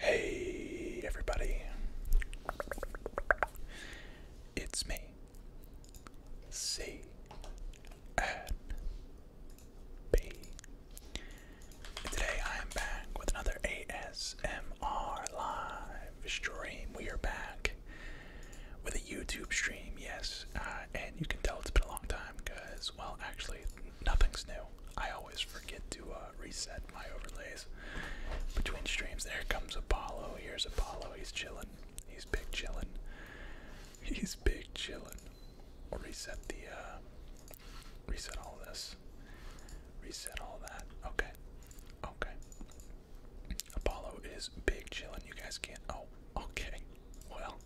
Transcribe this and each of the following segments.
Hey, everybody. It's me. C and B. Today I am back with another ASMR live stream. We are back with a YouTube stream, yes. Uh, and you can tell it's been a long time because, well, actually, nothing's new. I always forget to uh, reset my overlays between streams. There comes Apollo. Here's Apollo. He's chilling. He's big chilling. He's big chilling. We'll reset the, uh, reset all this. Reset all that. Okay. Okay. Apollo is big chillin'. You guys can't. Oh, okay. Well,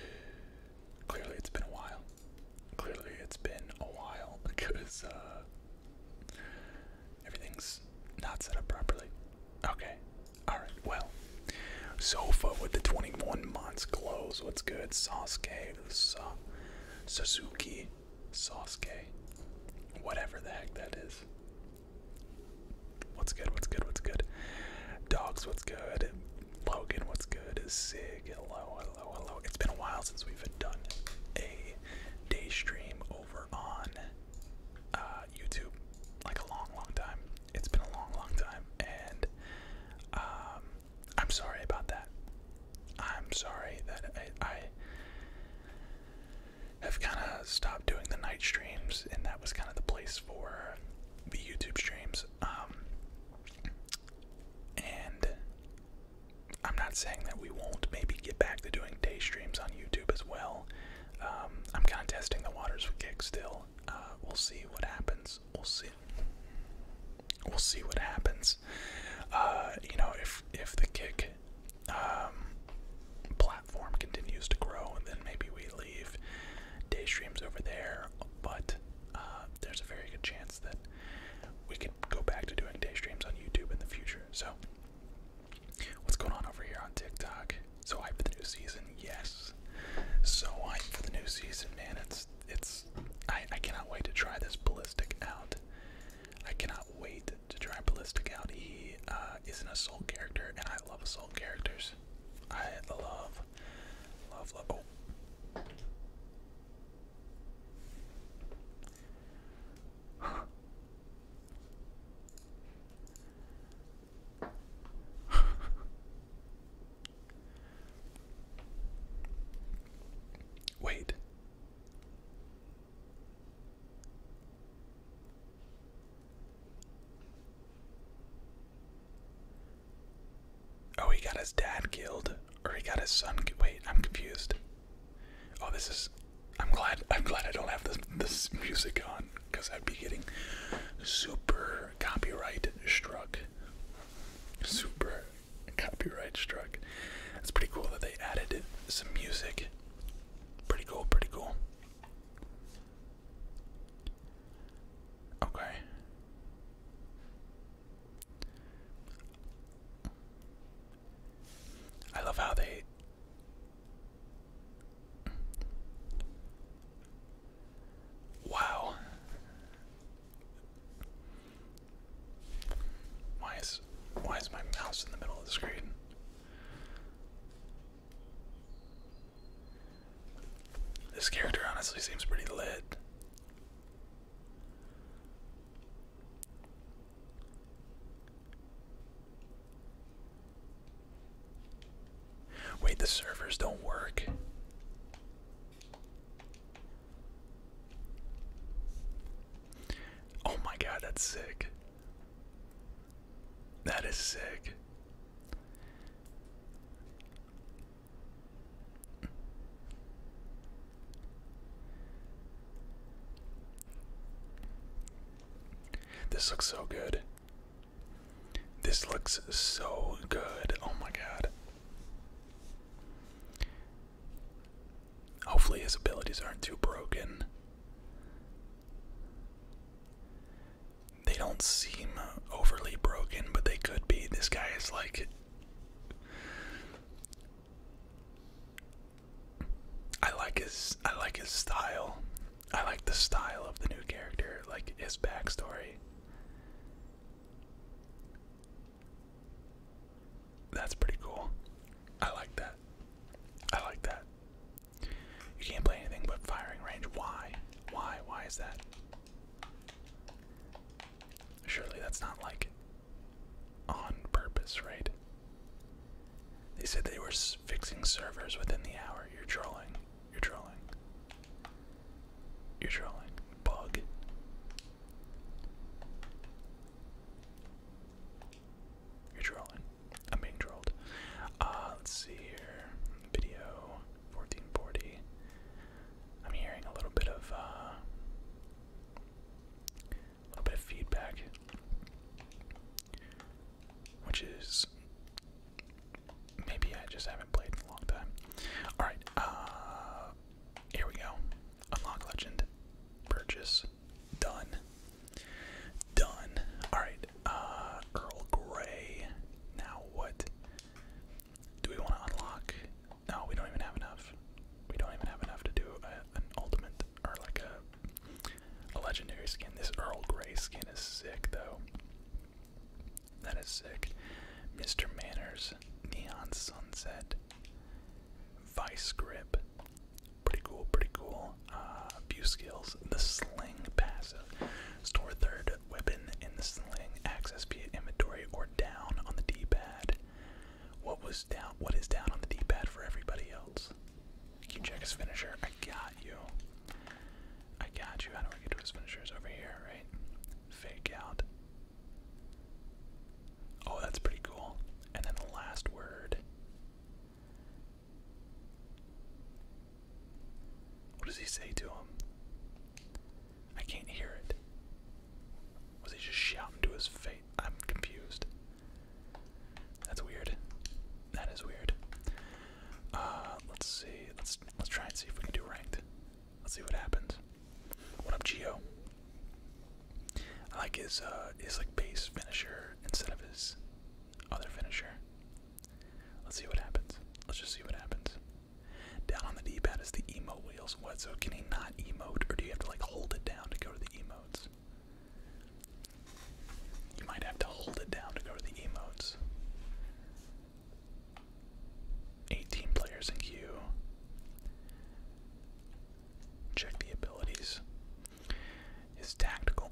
clearly it's been a while. Clearly it's been a while because uh, everything's not set up properly. Okay. Alright, well. Sofa with the 21 months clothes. What's good? Sasuke, Sa Suzuki, Sasuke, whatever the heck that is. What's good? What's good? What's good? Dogs, what's good? Logan, what's good? Is sick. hello, hello, hello. It's been a while since we've done a day stream over on uh, YouTube. Like a long, long time. It's been a long, long time, and um, I'm sorry about that. I'm sorry that I have kind of stopped doing the night streams, and that was kind of the place for the YouTube streams. Um, and I'm not saying that we won't maybe get back to doing day streams on YouTube as well. Um, I'm kind of testing the waters with Kick still. Uh, we'll see what happens. We'll see. We'll see what happens. Uh, you know, if if the kick um, platform continues to grow, and then maybe we leave day streams over there. But uh, there's a very good chance that we could go back to doing day streams on YouTube in the future. So, what's going on over here on TikTok? So hype for the new season, yes. So hype for the new season, man. It's it's I I cannot wait to try this ballistic out. I cannot wait to try Ballistic out. He uh, is an assault character, and I love assault characters. I love, love, love. Oh. Wait. Oh, he got his dad killed, or he got his son. Wait, I'm confused. Oh, this is. I'm glad. I'm glad I don't have this this music on, because I'd be getting super copyright struck. Super copyright struck. It's pretty cool that they added some music Pretty cool, pretty cool. Okay. I love how they Wow. Why is why is my mouse in the middle of the screen? This character honestly seems pretty lit. Wait, the servers don't work. Oh my god, that's sick. That is sick. This looks so good. This looks so good. Oh my god. Hopefully, his abilities aren't too broken. They don't seem overly broken, but they could be. This guy is like. I like his I like his style. I like the style of the new character, like his backstory. That's pretty cool. I like that. I like that. You can't play anything but firing range. Why? Why? Why is that? Surely that's not like on purpose, right? They said they were fixing servers within the hour. You're trolling. You're trolling. You're trolling. Bug. You're trolling. I'm being trolled. Uh, let's see here. Video 1440. I'm hearing a little bit of uh, a little bit of feedback, which is maybe I just haven't played in a long time. All right, uh, here we go. Unlock legend, purchase, done. Done. Alright, uh, Earl Grey. Now what? Do we want to unlock? No, we don't even have enough. We don't even have enough to do an ultimate or like a, a legendary skin. This Earl Grey skin is sick though. That is sick. Mr. Manners, Neon Sunset, Vice Grip, Pretty cool, pretty cool. Uh, few skills. The sling passive. Store third weapon in the sling. Access via inventory or down on the D-pad. What was down what is down on the D-pad for everybody else? You check his finisher. I got you. I got you. How do I get to his finishers over here, right? Fake out. Oh, that's pretty cool. And then the last word what does he say to him? I can't hear it. Was he just shouting to his face? I'm confused. That's weird. That is weird. Uh, let's see. Let's let's try and see if we can do ranked. Let's see what happens. What up, Geo? I like his uh his like base finisher instead of his other finisher. Let's see what happens. Let's just see what happens. Down on the D-pad is the emote wheels. What? So can he not emote, or do you have to like hold it down to go to the emotes? You might have to hold it down to go to the emotes. 18 players in queue. Check the abilities is tactical.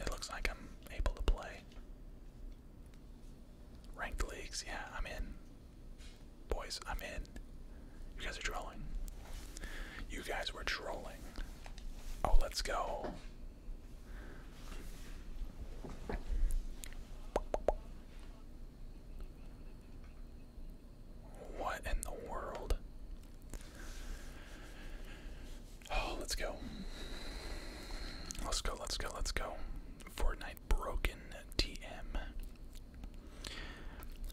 It looks like I'm able to play. Ranked leagues, yeah, I'm in. Boys, I'm in. You guys are trolling. You guys were trolling. Oh, let's go. What in the world? Oh, let's go. Let's go, let's go, let's go. Fortnite broken TM.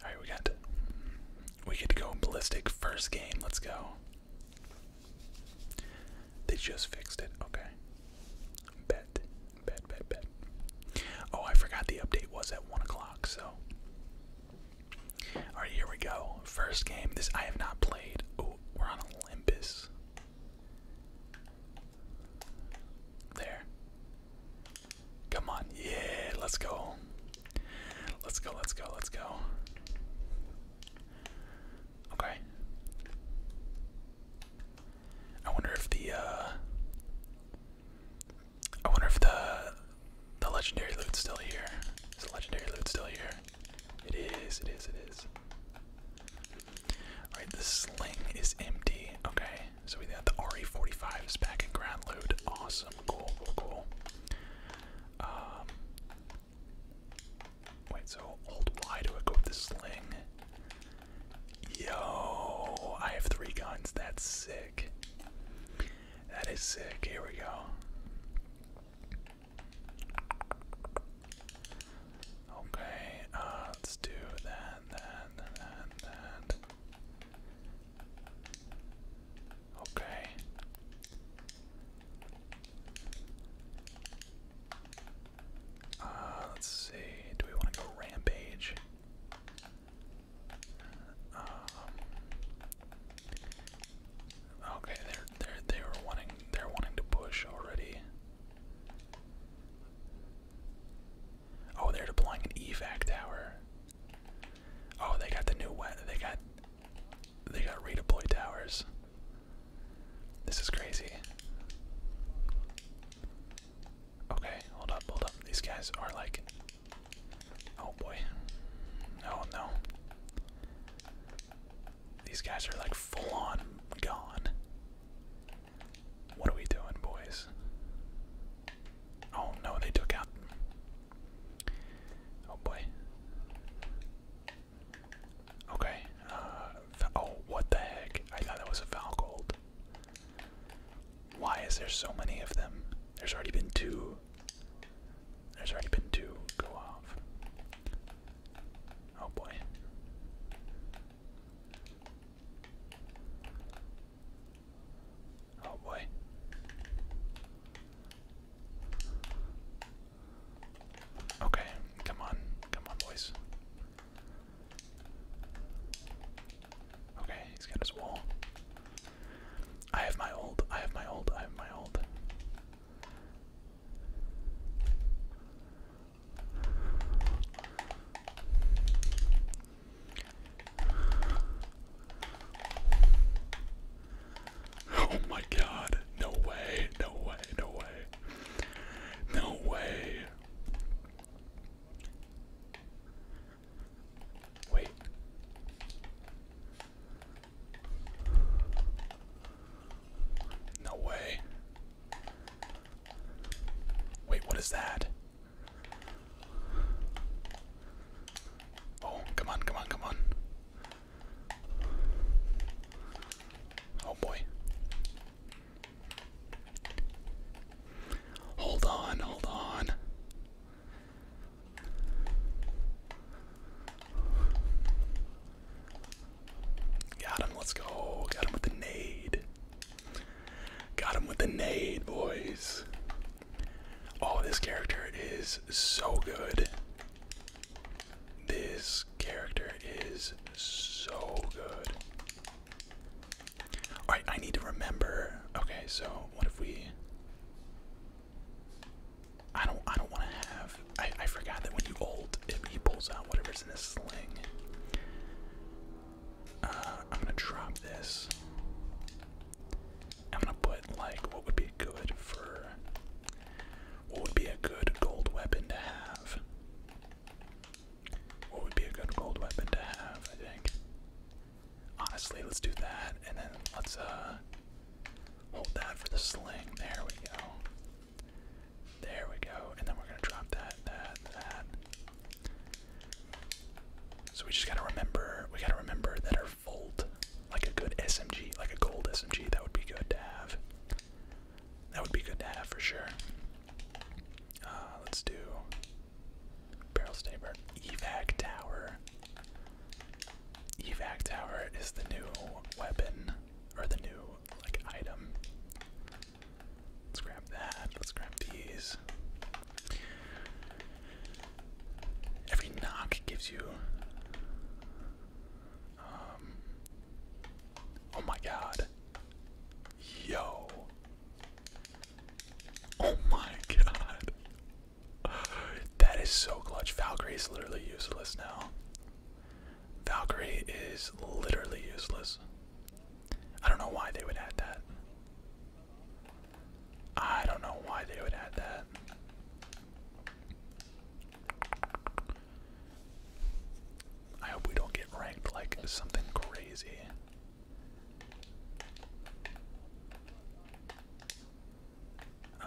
Alright, we got we get to go ballistic first game. Let's go. They just fixed it. Okay. Bet. Bet, bet, bet. Oh, I forgot the update was at 1 o'clock, so all right, here we go. First game. This I have not played. Oh, we're on Olympus. There. Come on. Yeah, let's go. Let's go, let's go, let's go. Okay. I wonder if the uh, I wonder if the the legendary loot's still here. Is the legendary loot still here? It is, it is, it is. Alright, the sling is empty. Okay, so we got the RE45 is back in ground loot. Awesome, cool, cool, cool. Um, wait, so hold I go with the sling. Yo, I have three guns, that's sick. That is sick. Here we go. Okay, uh, let's do that, that, that, that. Okay. Uh, let's see. Do we want to go rampage? Um, okay, they're they're they were wanting they're wanting to push already. Oh, they're deploying an evac tower. Oh, they got the new wet. They got they got redeploy towers. This is crazy. Okay, hold up, hold up. These guys are like Oh boy. Oh no. These guys are like full on gone. What are we doing, boys? Oh no, they took out. Oh boy. Okay. Uh, oh, what the heck? I thought that was a Valgold. Why is there so many of them? There's already been two there's already been two go off. Oh boy. Oh boy. Okay, come on. Come on, boys. Okay, he's got his wall. I have my old, I have my old, I have my old. Oh my god. No way. No way. No way. No way. Wait. No way. Wait, what is that? Oh, come on, come on, come on. Oh boy. Hold on, hold on. Got him, let's go. Got him with the nade. Got him with the nade, boys. Oh, this character is so good. This character is so good. Alright, I need to remember. Okay, so what if we. I don't I don't want to have I, I forgot that when you ult it he pulls out whatever's in his sling. Uh, I'm gonna drop this. I'm gonna put like what would be good for what would be a good gold weapon to have? What would be a good gold weapon to have, I think? Honestly, let's do that, and then let's uh hold that for the sling. There we go. There we go. And then we're gonna drop that, that, that. So we just gotta remember we gotta remember that our volt, like a good SMG, like a gold SMG, that would be good to have. That would be good to have for sure. Uh, let's do barrel saber, evac tower. Evac Tower is the new weapon, or the new, like, item. Let's grab that. Let's grab these. Every knock gives you. Um, oh my god. Yo. Oh my god. That is so clutch. Valkyrie is literally useless now. Valkyrie is literally useless. I don't know why they would add that. I don't know why they would add that. I hope we don't get ranked like something crazy. Uh,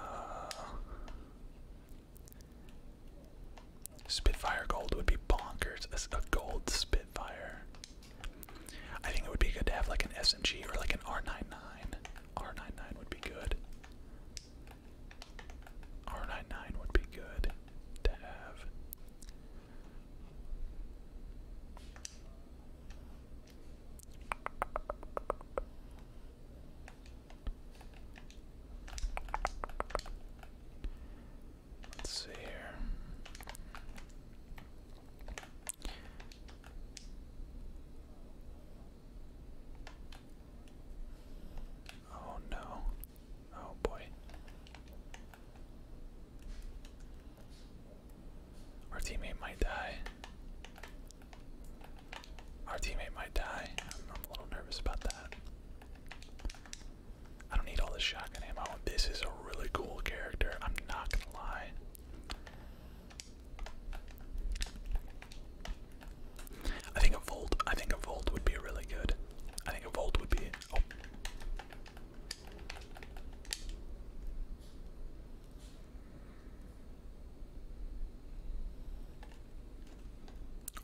Spitfire gold would be bonkers. A, a gold Spitfire. I think it would be good to have like an SMG or like an R99. R99 would be good. R99 would be good to have. Let's see here. Oh no. Oh boy. Our teammate might die. Our teammate might die. I'm, a little nervous about that. I don't need all this shotgun ammo. This is a really cool character. I'm not gonna lie. I think a Volt. I think a Volt would be really good. I think a Volt would be. Oh.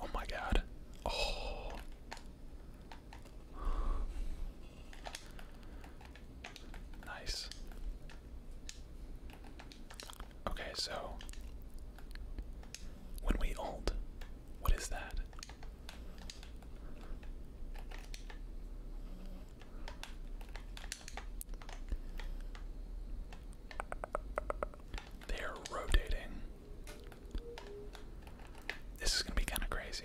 Oh my god. Oh. Nice. Okay, so when we ult, what is that? They're rotating. This is going to be kind of crazy.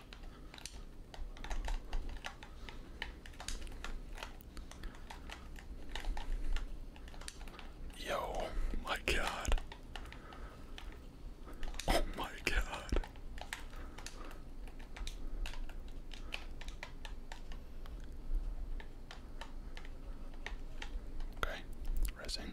Yo, my God. Oh, my God. Okay, resing.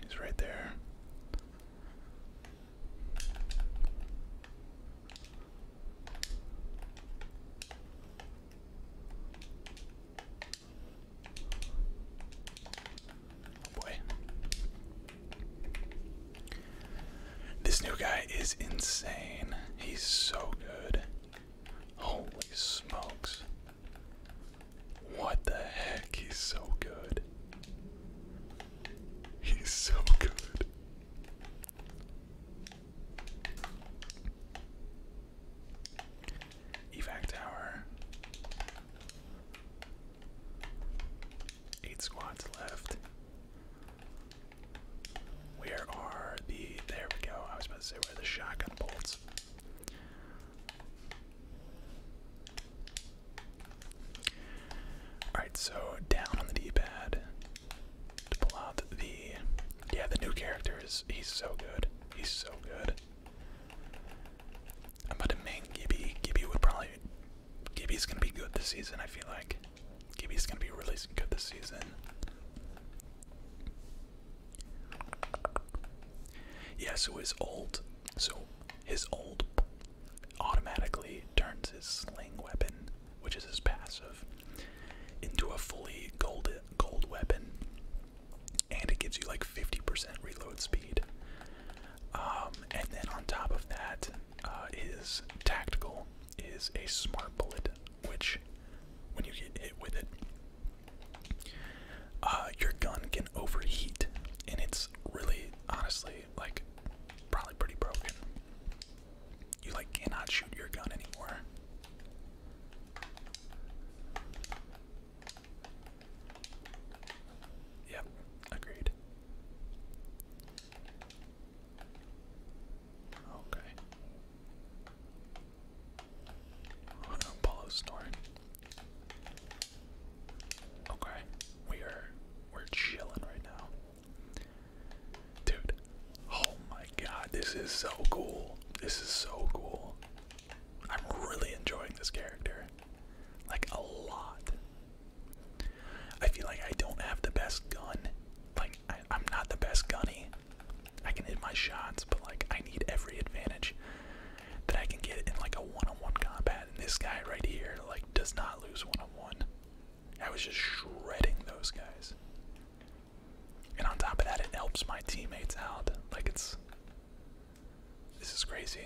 He's right there. Oh boy. This new guy is insane. He's so good. Holy smokes. What the heck? He's so good. He's so good. Evac tower. Eight squads left. Where are the. There we go. I was about to say where are the shotgun bolts. Alright, so down on the D pad to pull out the yeah, the new character is he's so good. He's so good. about to main Gibby. Gibby would probably Gibby's gonna be good this season, I feel like. Gibby's gonna be really good this season. Yeah, so his old so his old automatically turns his sling weapon, which is his passive, into a fully gold gold weapon and it gives you like 50% reload speed. Um, and then on top of that, uh, is tactical, is a smart bullet, which when you get hit with it, uh, your gun can overheat, and it's really honestly like probably pretty broken. You like cannot shoot your gun anymore. Yep, agreed. Okay. Apollo snoring. Okay, we are we're chilling right now, dude. Oh my god, this is so cool. This is so cool. I'm really enjoying this character. Like, a lot. I feel like I don't have the best gun. Like, I, am not the best gunny. I can hit my shots, but, like, I need every advantage that I can get in, like, a one on one combat. And this guy right here, like, does not lose one on one. I was just shredding those guys. And on top of that, it helps my teammates out. Like, it's. This is crazy.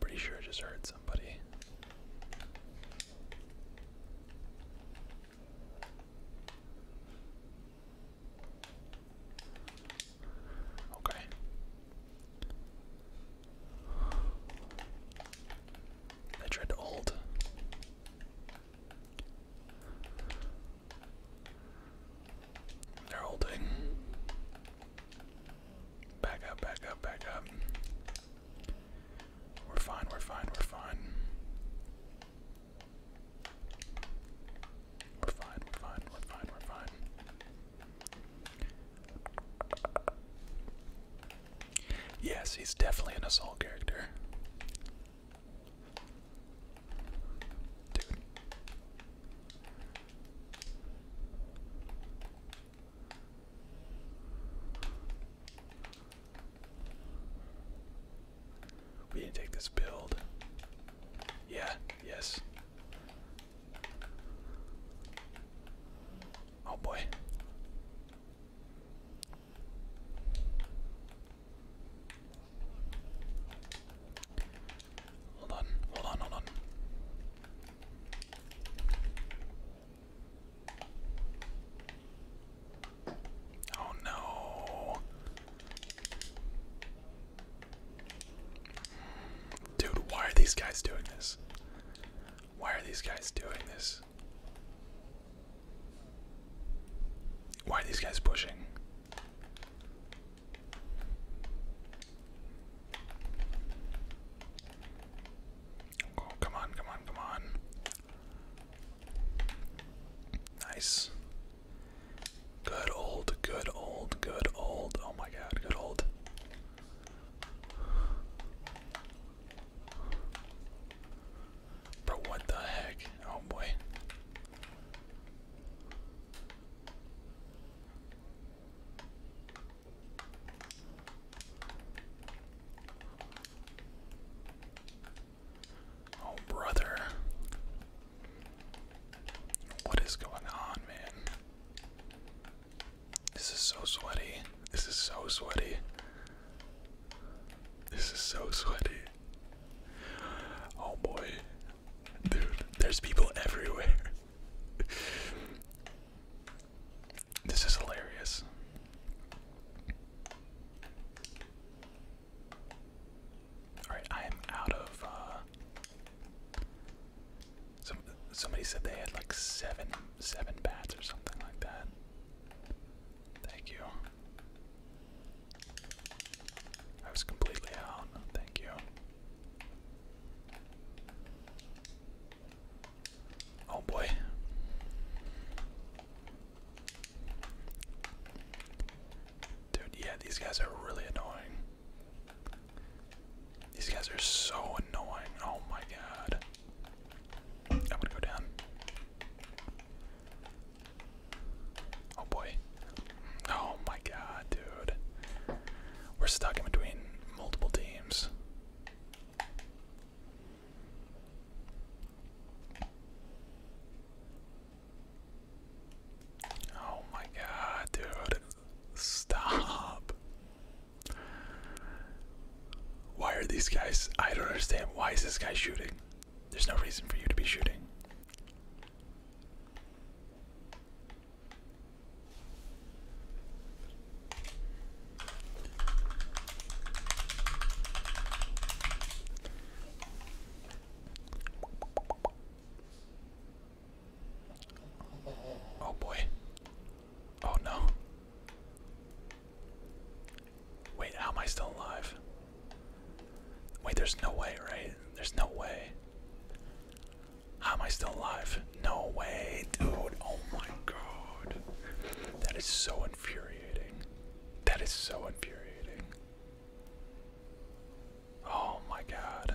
Pretty sure I just heard somebody. Okay. I tried to ult. They're holding. Back up, back up, back up. We're fine, we're fine, we're fine. We're fine, we're fine, we're fine, we're fine. Yes, he's definitely an assault character. Dude. We didn't take this build. Yeah, yes. Oh boy. Hold on, hold on, hold on. Oh no. Dude, why are these guys doing this? Why are these guys doing this? Why are these guys pushing? Oh, come on, come on, come on. Nice. Good old, good old, good old. Oh my god, good old. Bro, what the heck? Oh boy. Oh, brother. What is going on, man? This is so sweaty. This is so sweaty. This is so sweaty. Oh boy. Dude, there's people everywhere. this is hilarious. All right, I am out of. Uh, somebody said they had like seven seven bats or something like that. Thank you. I was completely out. Thank you. Oh boy. Dude, yeah, these guys are really annoying. These guys are so annoying. Oh my god. I'm gonna go down. Oh boy. Oh my god, dude. We're stuck in between multiple teams. Oh my god, dude. Stop. Why are these guys? I don't understand. Why is this guy shooting? There's no reason for you to be shooting. Oh boy. Oh no. Wait, how am I still alive? Wait, there's no way, right? There's no way. How am I still alive? No way, dude. Oh my god. That is so infuriating. That is so infuriating. Oh my god.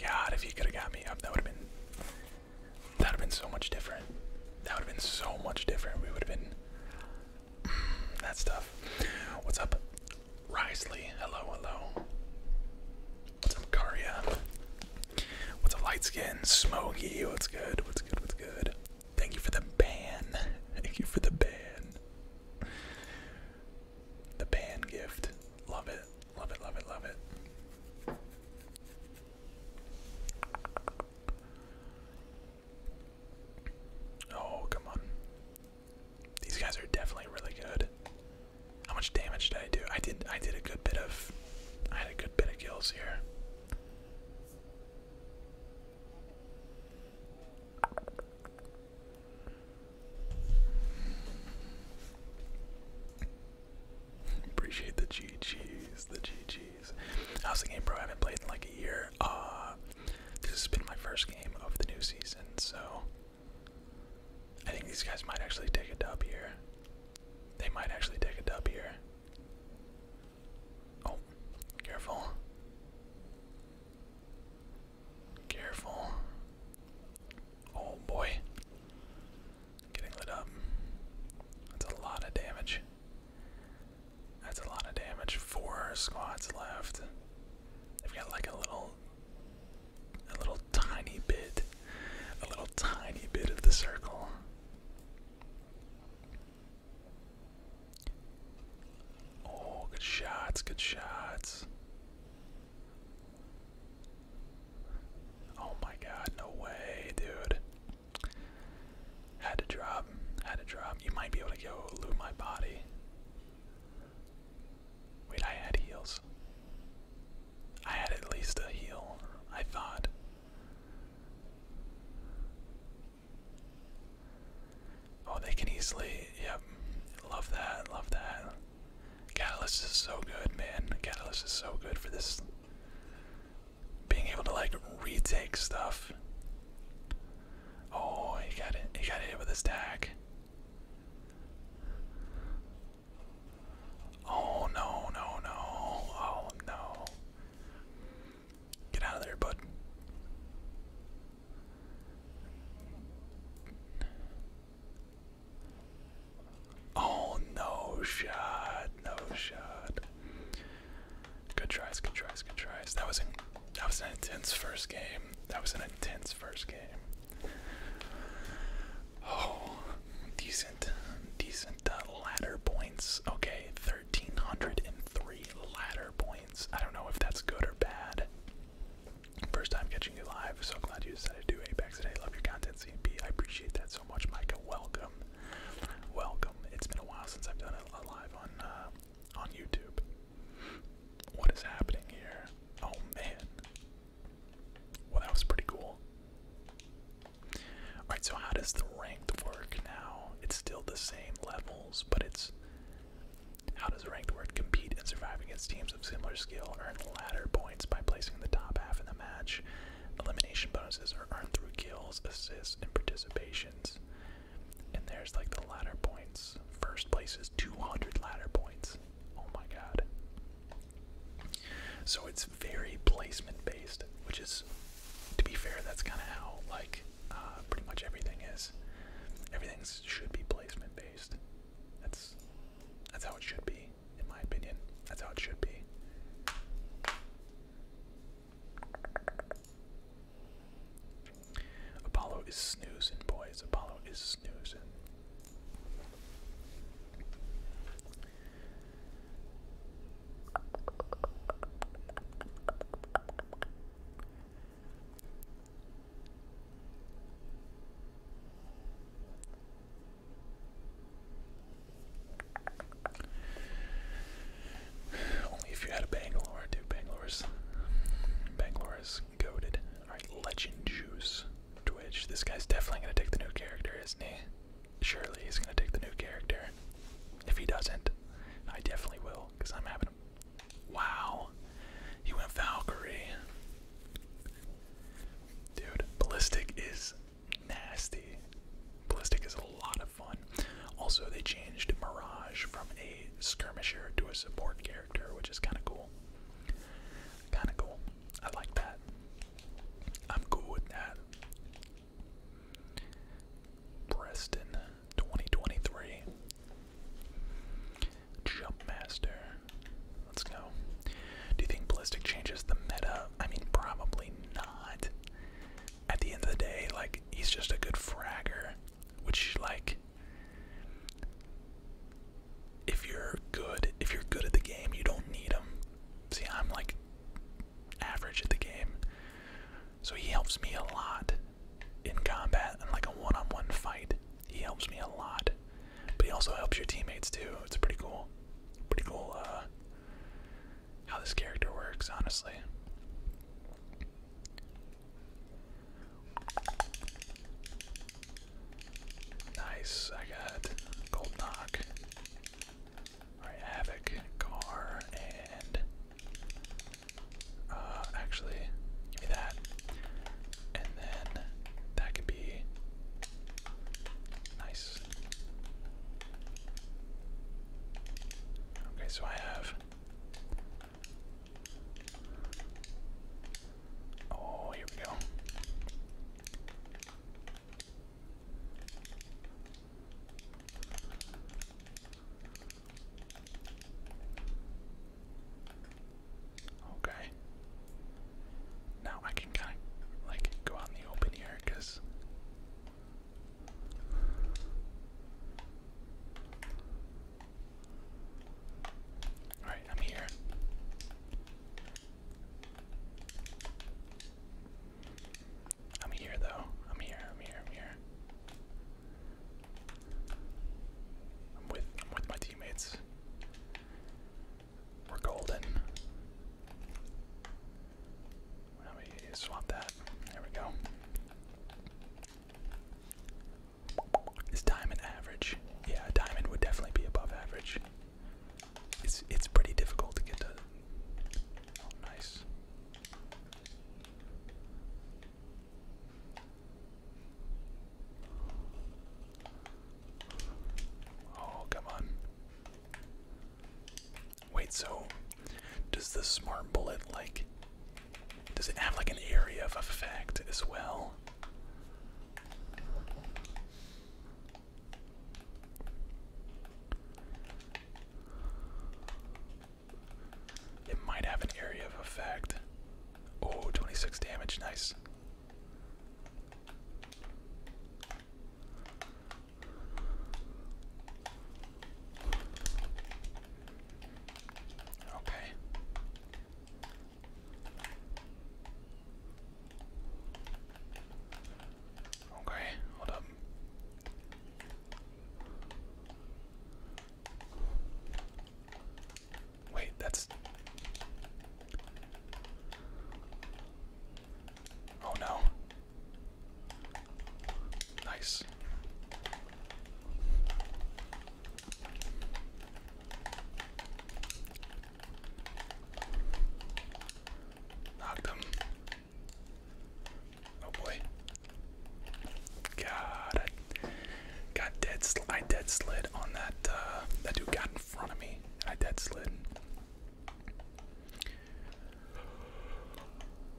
God, if he could have got me up, that would have been that would have been so much different. That would have been so much different. We would have been that's tough. What's up? Risley, hello, hello. What's up, Karia? What's up, light skin? smoky? what's good? What's good? What's good? Thank you for the ban. Thank you for the ban. The ban gift. Love it. Love it, love it, love it. Oh, come on. These guys are definitely really good. How much damage did I do? I did I did a good bit of I had a good bit of kills here. Appreciate the GG's, the GG's. How's the game, bro? I haven't played in like a year. Uh, this has been my first game of the new season, so I think these guys might actually take a dub here. They might actually take a dub here. Oh, careful. Careful. Oh boy. Getting lit up. That's a lot of damage. That's a lot of damage. Four squads left. They've got like a little a little tiny bit a little tiny bit of the circle. Oh, good shots, good shots. Oh my god, no way, dude. Had to drop, had to drop. You might be able to go loot my body. Wait, I had heals. I had at least a heal, I thought. Oh, they can easily. Yep. Love that. Love that. Catalyst is so good, man. Catalyst is so good for this. Being able to, like, retake stuff. Oh, he got it. He got it with a stack. Oh no, no, no. Oh no. Get out of there, bud. Oh no shot, no shot. Good tries, good tries, good tries. That was in, that was an intense first game. That was an intense first game. Oh, decent, decent uh, ladder points. Okay, 1,303 ladder points. I don't know if that's good or bad. First time catching you live, so glad you decided to do Apex today. Love your content, C CMP. I appreciate that so much, Micah. Welcome, welcome. It's been a while since I've done a live on uh, on YouTube. What is happening here? Oh man. Well, that was pretty cool. Alright, so how does the ranked work now? It's still the same levels, but it's. How does ranked work compete and survive against teams of similar skill? Earn ladder points by placing the top half in the match. Elimination bonuses are earned through kills, assists, and participations. And there's like the ladder points. First place is 200 ladder points. Oh my god. So it's very placement based, which is, to be fair, that's kind of how like uh, pretty much everything is. Everything should be placement based. That's that's how it should be, in my opinion. That's how it should be. Apollo is snoozing, boys. Apollo is snoozing. Only if you had a Bangalore, dude. Bangalore's Bangalore goaded. Alright, legend juice. Twitch. This guy's definitely gonna take the new character, isn't he? surely he's gonna take the new character. If he doesn't, I definitely will, because I'm having him. Wow. He went Valkyrie. Dude, Ballistic is nasty. Ballistic is a lot of fun. Also, they changed Mirage from a skirmisher to a support character, which is kind of cool. Kind of cool. I like that. I'm cool with that. Preston 2023. Jumpmaster. Let's go. Do you think Ballistic changes the meta? I mean, probably not. At the end of the day, like, he's just a good fragger, which, like, if you're good, if you're good at the game, you don't need him. See, I'm like average at the game. So he helps me a lot in combat and like a one on one fight. He helps me a lot. But he also helps your teammates too. It's pretty cool. Pretty cool uh, how this character works, honestly. Nice, I got Gold Knock. Havoc, Gar, and uh, actually, give me that. And then that could be nice. Okay, so I have Oh, here we go. Okay. Now I can kind of like go out in the open here because. Alright, I'm here. I'm here though. I'm here. I'm here. I'm here. I'm with I'm with my teammates. We're golden. Let me swap that. There we go. Is diamond average? Yeah, diamond would definitely be above average. It's it's pretty difficult to get to. Oh, nice. Oh, come on. Wait, so does the smart bullet like does it have like an area of effect as well? It might have an area of effect. Oh, 26 damage, nice. Okay. Okay, hold up. Wait, that's. Oh no. Nice. Knocked him. Oh boy. God, I got dead. I dead slid on that. Uh, that dude got in front of me. and I dead slid.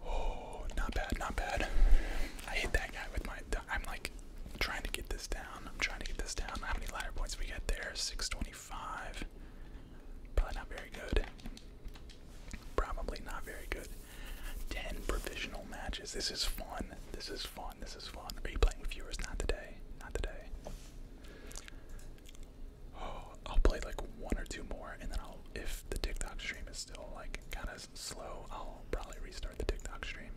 Oh, not bad, not bad. I hate that guy with my. I'm like trying to get this down. I'm trying to get this down. How many ladder points we get there? 625. Probably not very good. Probably not very good. Ten provisional matches. This is fun. This is fun. This is fun. Are you playing with viewers? Not today. Not today. I'll play like one or two more, and then I'll. If the TikTok stream is still like kind of slow, I'll probably restart the TikTok stream.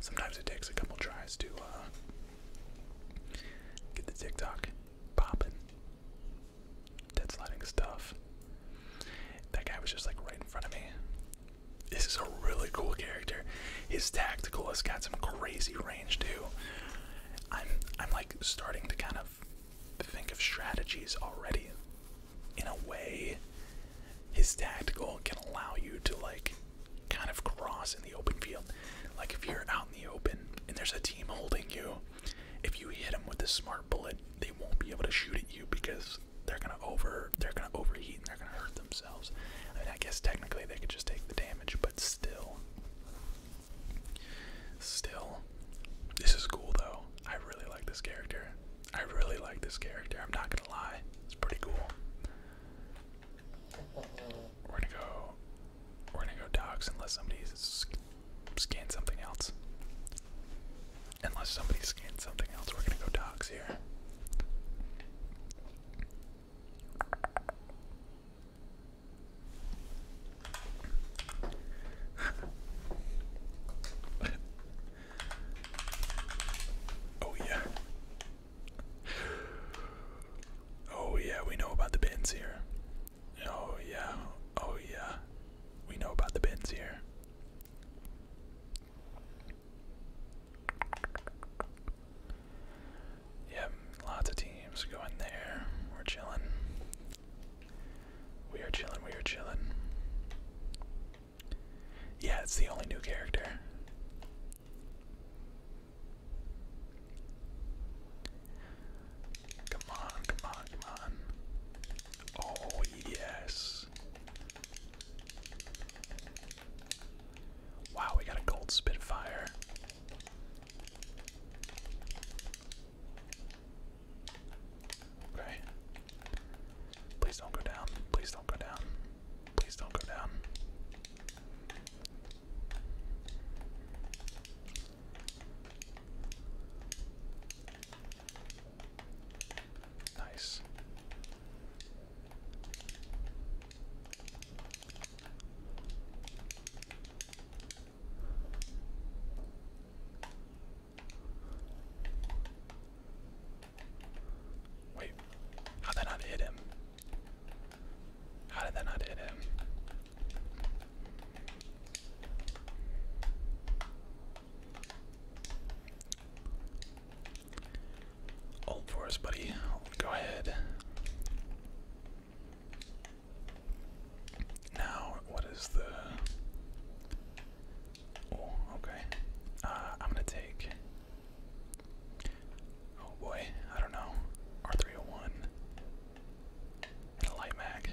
Sometimes it takes a couple tries to uh, get the TikTok popping. Dead sliding stuff. That guy was just like right in front of me. This is a really cool character. His tactical has got some crazy range too. I'm I'm like starting to kind of think of strategies already. In a way, his tactical can allow you to like kind of cross in the open field. Like if you're out in the open and there's a team holding you, if you hit them with a smart bullet, they won't be able to shoot at you because they're gonna over they're gonna overheat and they're gonna hurt themselves. I mean, I guess technically they could just take the damage, but still, still, this is cool though. I really like this character. I really like this character. I'm not gonna lie, it's pretty cool. We're gonna go. We're gonna go dogs unless somebody's scan something else. Unless somebody scans something else, we're gonna go dogs here. oh, yeah. Oh, yeah, we know about the bins here. Oh, yeah. Oh, yeah. We know about the bins here. Yep, lots of teams going there. We're chilling. We are chilling, we are chilling. Yeah, it's the only new character. Come on, come on, come on. Oh, yes. Wow, we got a gold spitfire. Okay. Please don't go down. Please don't go down. Please don't go down. Nice. Wait, how did that not hit him? How did that not hit him? Old for us, buddy. Go ahead. Now, what is the. Oh, okay. Uh, I'm gonna take. Oh boy, I don't know. R301 and a light mag.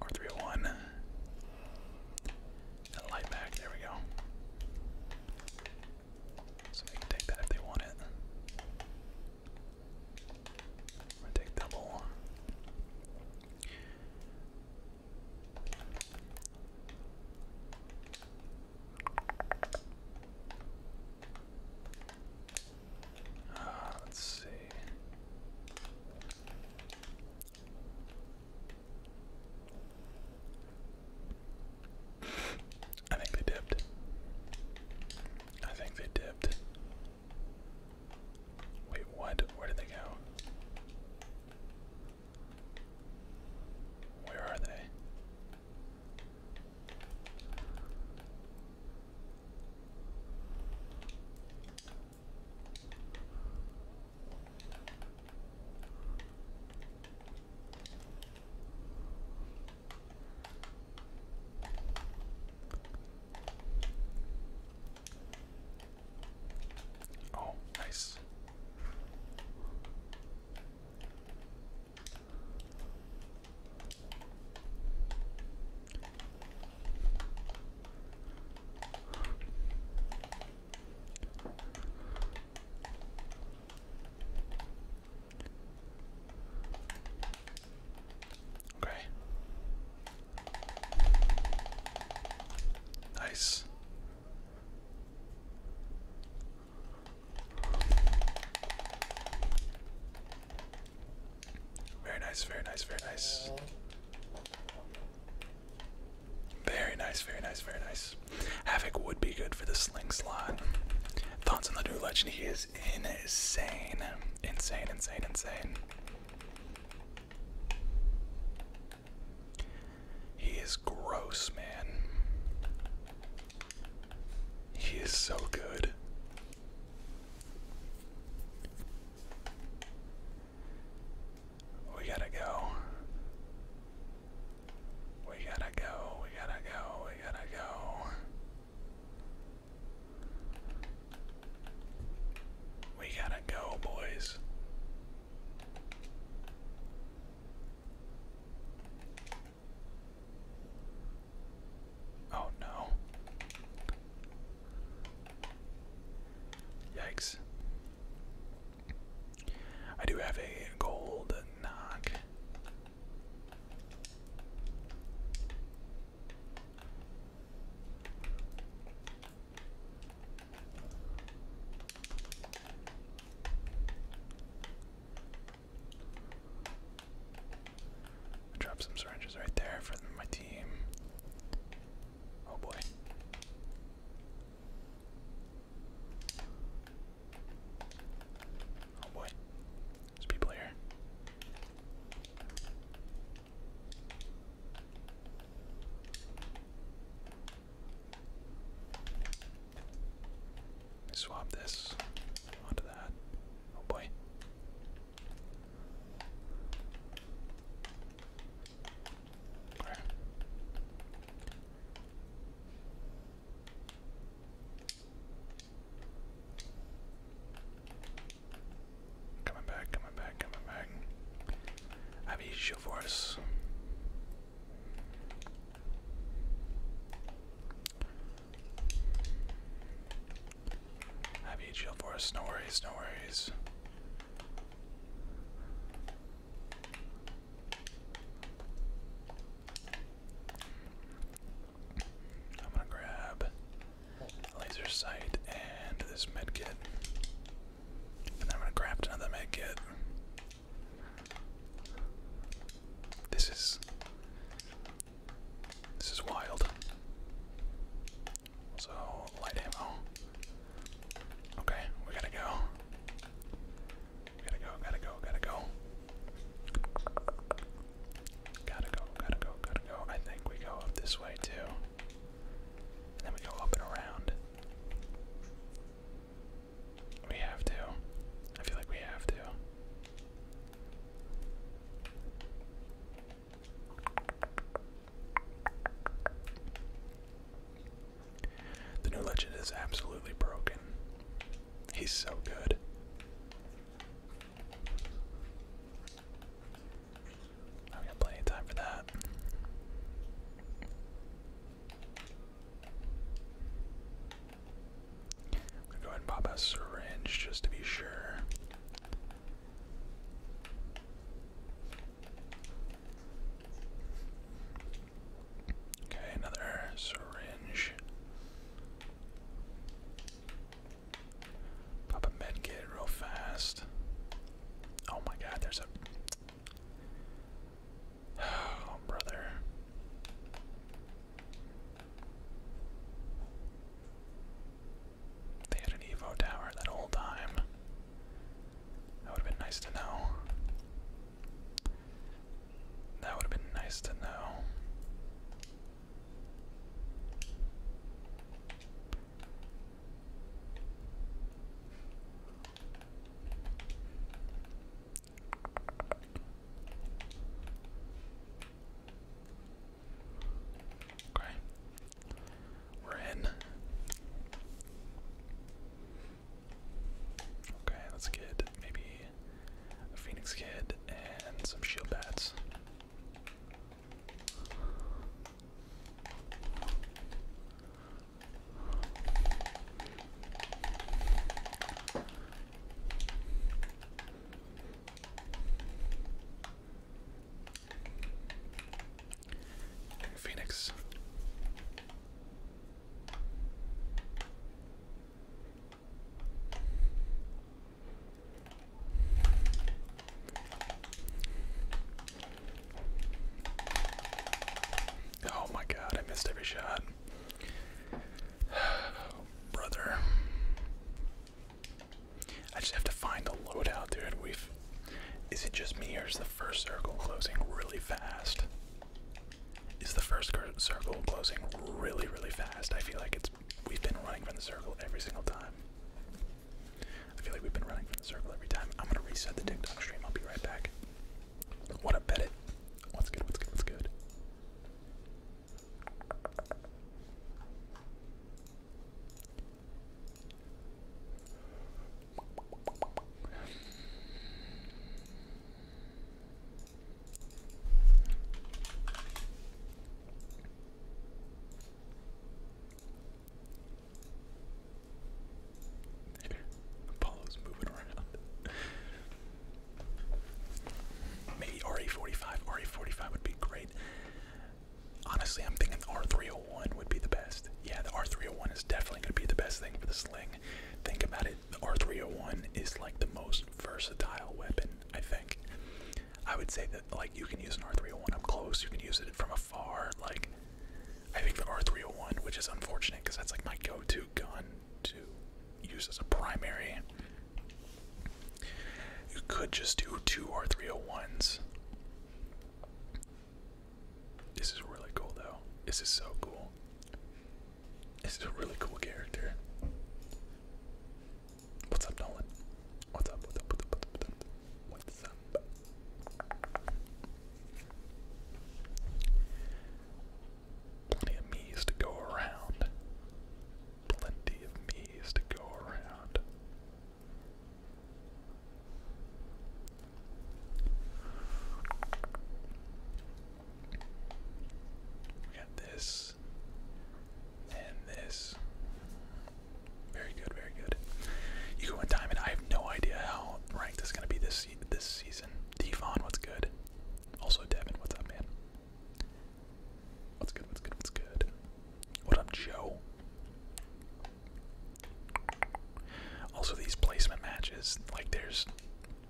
Or 301. And a light mag, there we go. So they can take that if they want it. i take double. Uh, let's see. I think they dipped. I think they dipped. Wait, what? Where did they go? Where are they? Oh, nice. Okay. Nice. Very nice, very nice, very nice. Very nice, very nice, very nice. Havoc would be good for the sling Thoughts on the new legend? He is insane. Insane, insane, insane. He is gross, man. He is so good. We gotta go. We gotta go. We gotta go. We gotta go. We gotta go, boys. Oh no. Yikes. I do have a gold knock. I dropped some syringes right there for my team. Oh boy. Oh boy. There's people here. Swap this onto that. Oh boy. Okay. Coming back, coming back, coming back. I've used your force. Have you shield for us? No worries, no worries. I'm gonna grab laser sight and this med kit. And then I'm gonna grab another med kit. This is this is wild. So, light ammo. Okay, we gotta go. gotta go, gotta go, gotta go. Gotta go, gotta go, gotta go. I think we go up this way too. And then we go up and around. We have to. I feel like we have to. The new legend is absolutely broken. He's so good. I've got plenty of time for that. I'm gonna go ahead and pop a syringe just to be sure. Okay, another syringe. Pop a med kit real fast. Oh my god, there's a. Oh, brother. They had an Evo tower that whole time. That would have been nice to know. That would have been nice to know. Okay. We're in. Okay, let's get maybe a Phoenix Kid and some shield bats. Phoenix. Oh my god, I missed every shot. Brother. I just have to find the loadout, dude. we Is it just me or is the first circle closing really fast? Is the first circle closing really, really fast? I feel like it's. We've been running from the circle every single time. I feel like we've been running from the circle every time. I'm gonna reset the TikTok stream. I'll be right back. What a bet it. What's good? What's good? What's good? Apollo's moving around. Maybe RE45. RE45 would be great. Honestly, I'm thinking R301 would be the best. Yeah, the R301 is definitely going to be the best thing for the sling. Think about it, the R301 is like the most versatile weapon, I think. I would say that, like, you can use an R301 up close, you can use it from afar. Like, I think the R301, which is unfortunate because that's like my go to gun to use as a primary, you could just do two or three oh ones. This is really cool though. This is so cool. This is a really cool character. What's up, Nolan? What's up? What's up? What's up? What's up? What's up? Plenty of me's to go around. Plenty of me's to go around. We got this and this. Very good, very good. You go in diamond. I have no idea how ranked this is gonna be this this season. Devon, what's good? Also Devin, what's up, man? What's good? What's good? What's good? What up, Joe? Also, these placement matches, like there's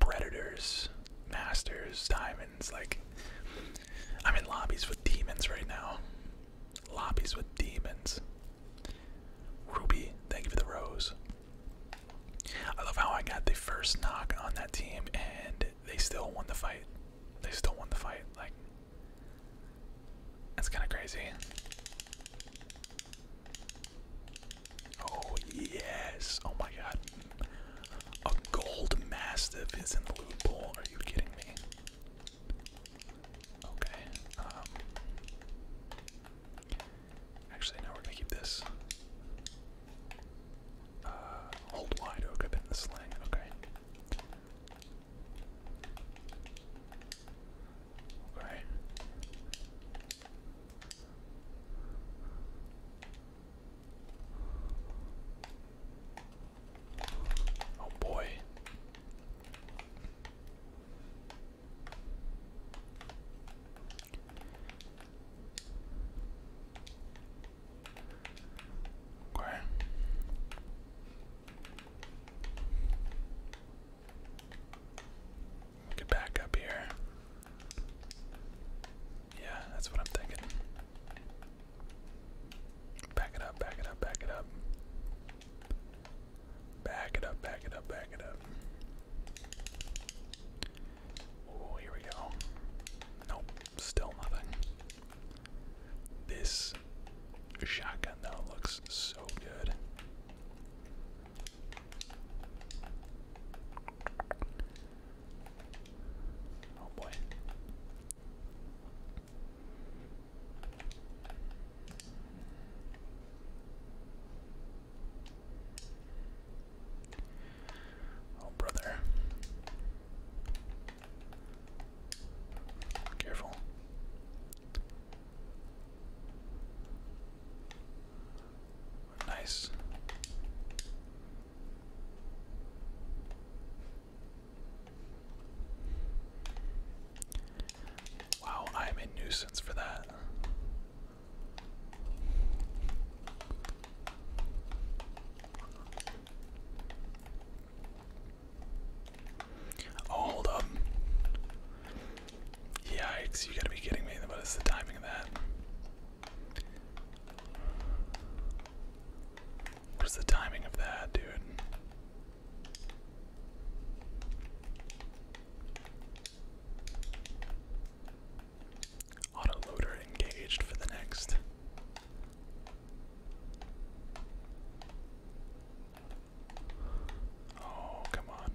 predators, masters, diamonds. Like I'm in lobbies with demons right now. Lobbies with demons. Ruby, thank you for the rose. I love how I got the first knock on that team and they still won the fight. They still won the fight. Like that's kind of crazy. Oh, yes. Oh, my God. A gold mastiff is in the loot bowl. Are you kidding me? Okay. Um, actually, no, we're going to keep this. Uh, hold wide oak up in the sling. Okay. Okay. Oh boy. Okay. Get back up here. Yeah, that's what I'm thinking. Back it up, back it up, back it up. Back it up, back it up, back it up. Oh, here we go. Nope, still nothing. This shotgun though looks so good. Oh boy. Oh brother. Careful. Nice. Wow, I am a nuisance for that. Oh, hold up. Yikes, you gotta be kidding me. What is the timing of that? What is the timing of that, dude? Autoloader engaged for the next Oh, come on.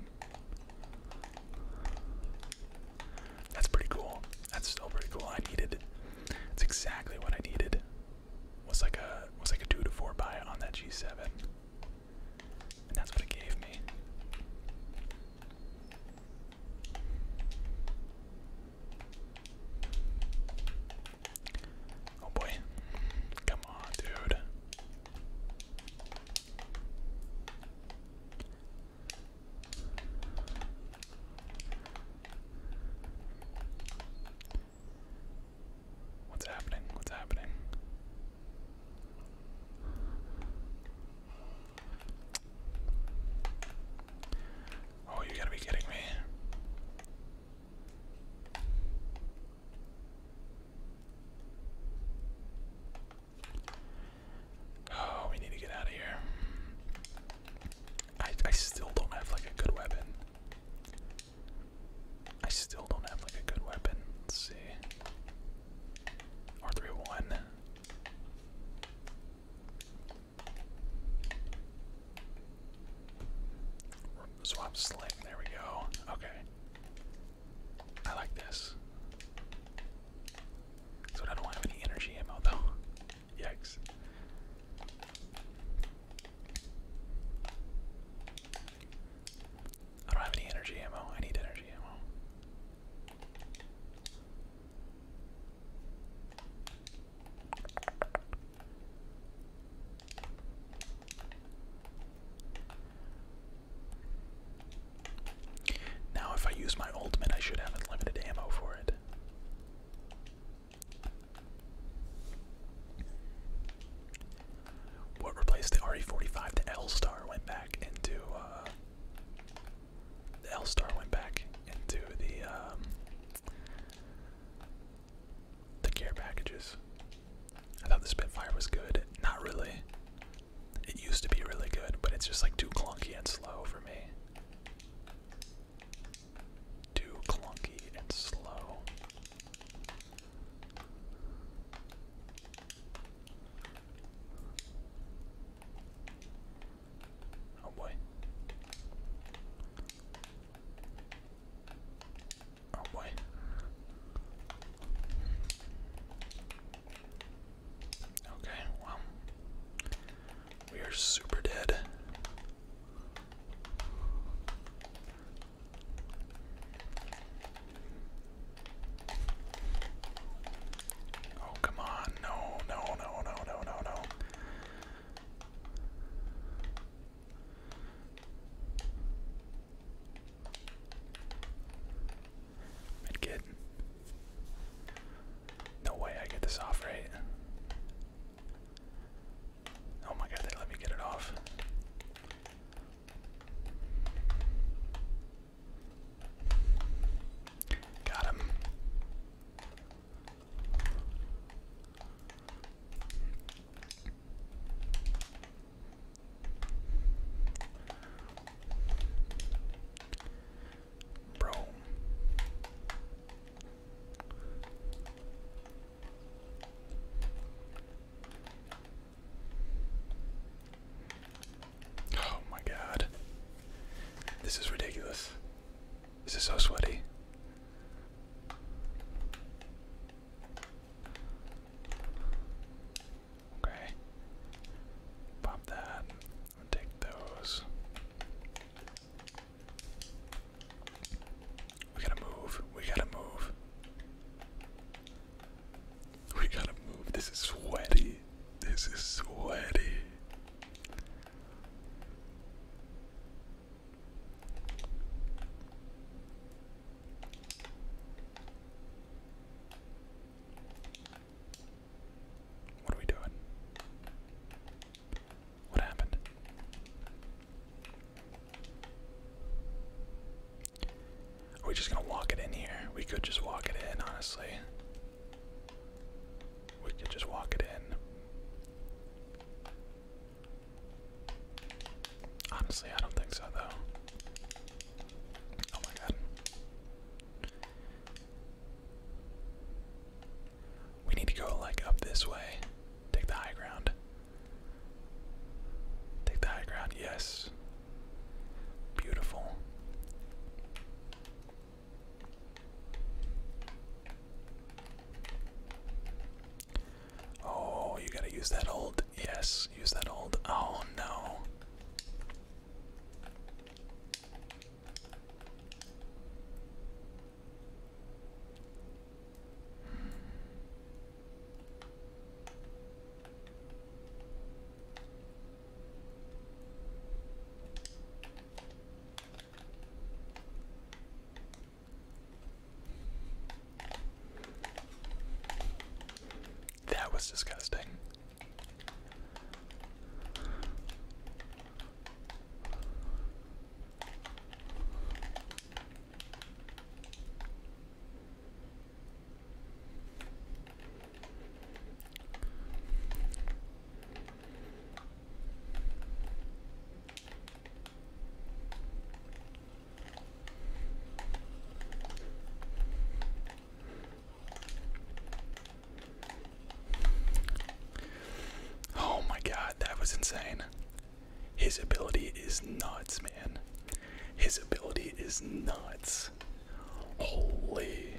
That's pretty cool. That's still pretty cool. I needed. It's exactly what I needed. Was like a was like a two to four buy on that G seven, and that's what it gave me. Oh boy. Come on, dude. What's happening? What's happening? Oh, you gotta be kidding me. Oh, we need to get out of here. I I still don't have like a good weapon. I still don't have like a good weapon. Let's see. R31. Swap slick, there we go. Okay. I like this. So I don't have any energy ammo though. Yikes. I don't have any energy ammo. I need energy ammo. Now, if I use my ultimate, I should have unlimited ammo for it. What replaced the RE45? The L Star uh, went back into. the L Star went back into the the care packages. I thought the Spitfire was good. Not really. It used to be really good, but it's just like too clunky and slow for me. Too clunky and slow. Oh boy. Oh boy. Okay, well. We are super dead. Oh, come on. No, no, no, no, no, no, no way I get this off right. Oh my god, let me get it off. Got him. Bro. Oh my god. This is ridiculous. This is so sweaty. Okay. Pop that. take those. We gotta move. We gotta move. We gotta move. This is sweaty. This is sweaty. What are we doing? What happened? Are we just gonna walk it in here? We could just walk it in, honestly. We could just walk it in. Honestly, I don't think so though. Oh my god. We need to go like up this way. Take the high ground. Take the high ground, yes. Beautiful. Oh, you gotta use that old. Yes, use that old. Oh no. That was disgusting. Oh my god, that was insane. His ability is nuts, man. His ability is nuts. Holy.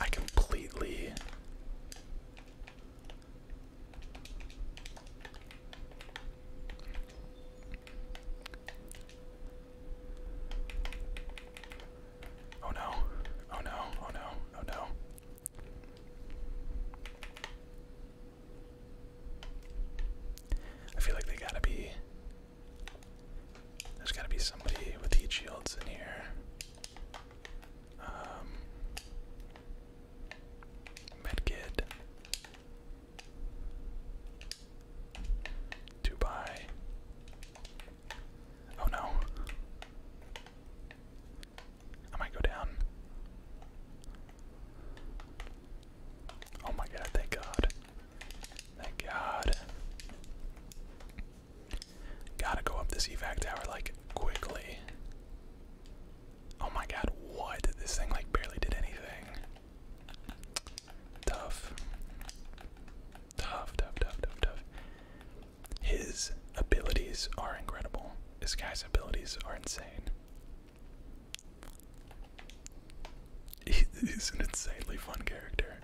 I completely Oh no, oh no, oh no, oh no. I feel like they gotta be. There's gotta be somebody with heat shields in here. Um, medkit. Two Oh no. I might go down. Oh my god, thank god. Thank god. Gotta go up this evac tower like quickly. Oh my god, what? This thing like barely did anything. Tough. Tough, tough, tough, tough, tough. His abilities are incredible. This guy's abilities are insane. He's an insanely fun character.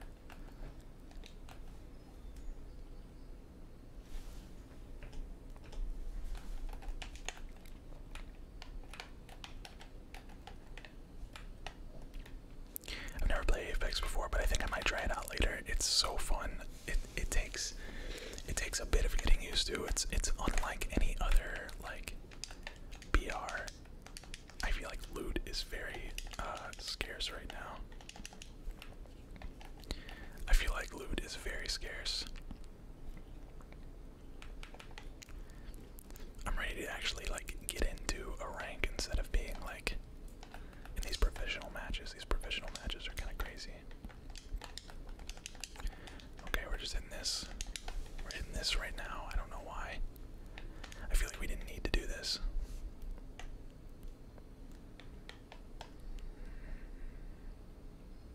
I've never played Apex before, but I think I might try it out later. It's so fun. It it takes it takes a bit of getting used to. It's it's unlike any other like BR. I feel like loot is very uh, scarce right now. I feel like loot is very scarce. I'm ready to actually like get into a rank instead of being like in these professional matches. These professional matches are kind of crazy. Okay, we're just hitting this. We're hitting this right now. I don't know why. I feel like we didn't need to do this.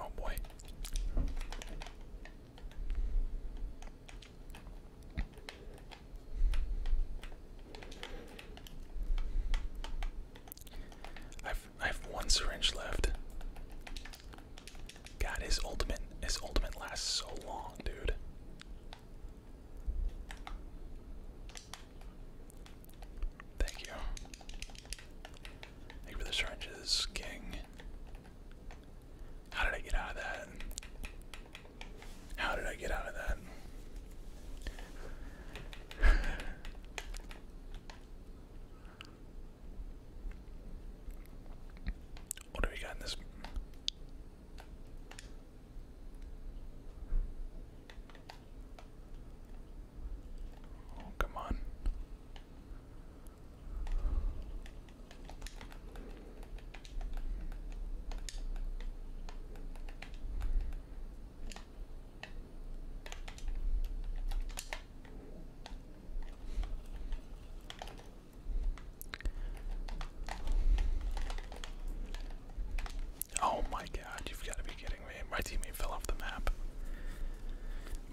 Oh boy. I've I have one syringe left. God, his ultimate his ultimate lasts so long, dude. Thank you. Thank the syringes, King. How did I get out of that? How did I get out of that? what do we got in this? Oh, come on. Oh my god, you've got to be kidding me. My teammate fell off the map.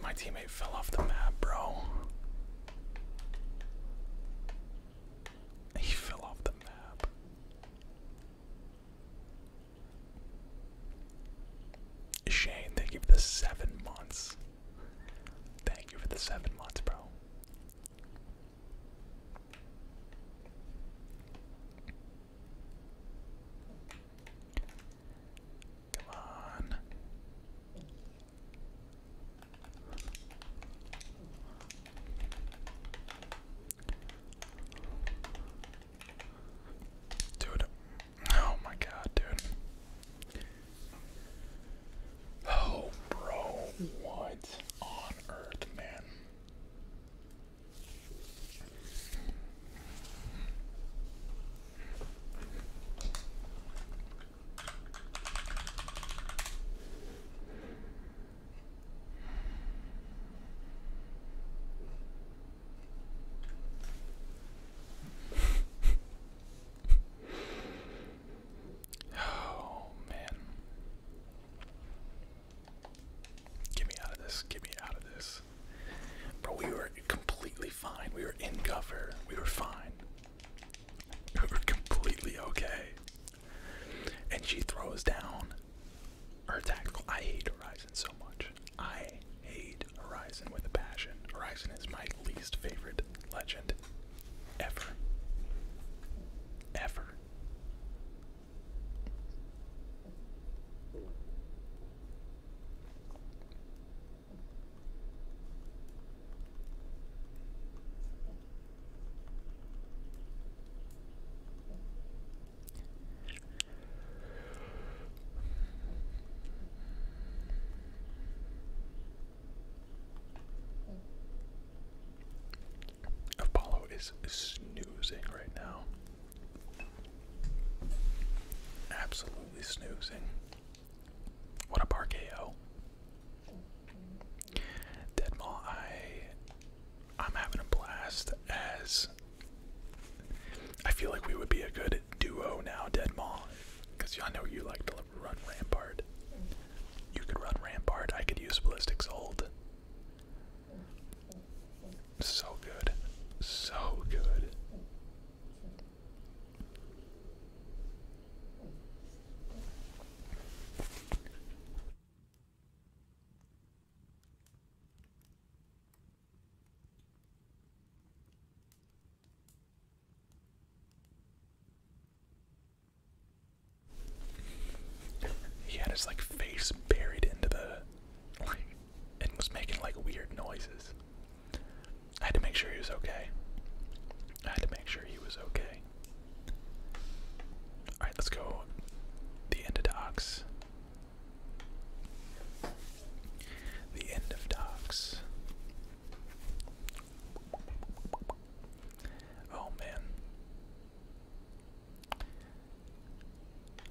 My teammate fell off the map, bro. He fell off the map. Shane, thank you for the seven months. Thank you for the seven months, bro. Come on. Dude. Oh my god, dude. Oh, bro. What on earth, man? Oh man. Get me out of this. Get me out of this. But we were completely fine. We were in cover. We were fine. We were completely okay. And she throws down her tactical. I hate Horizon so much. I hate Horizon with a passion. Horizon is my least favorite legend ever. Ever. Apollo is snoozing right now. Absolutely snoozing. What up, RKO? Deadmaw, I am having a blast as I feel like we would be a good duo now, Deadmaw. Because I know you like to run Rampart. You could run Rampart, I could use ballistics. Old, So good. So good. He had his like face buried into the and was making like weird noises. I had to make sure he was okay. I had to make sure he was okay. Alright, let's go the end of docs. The end of docs. Oh man.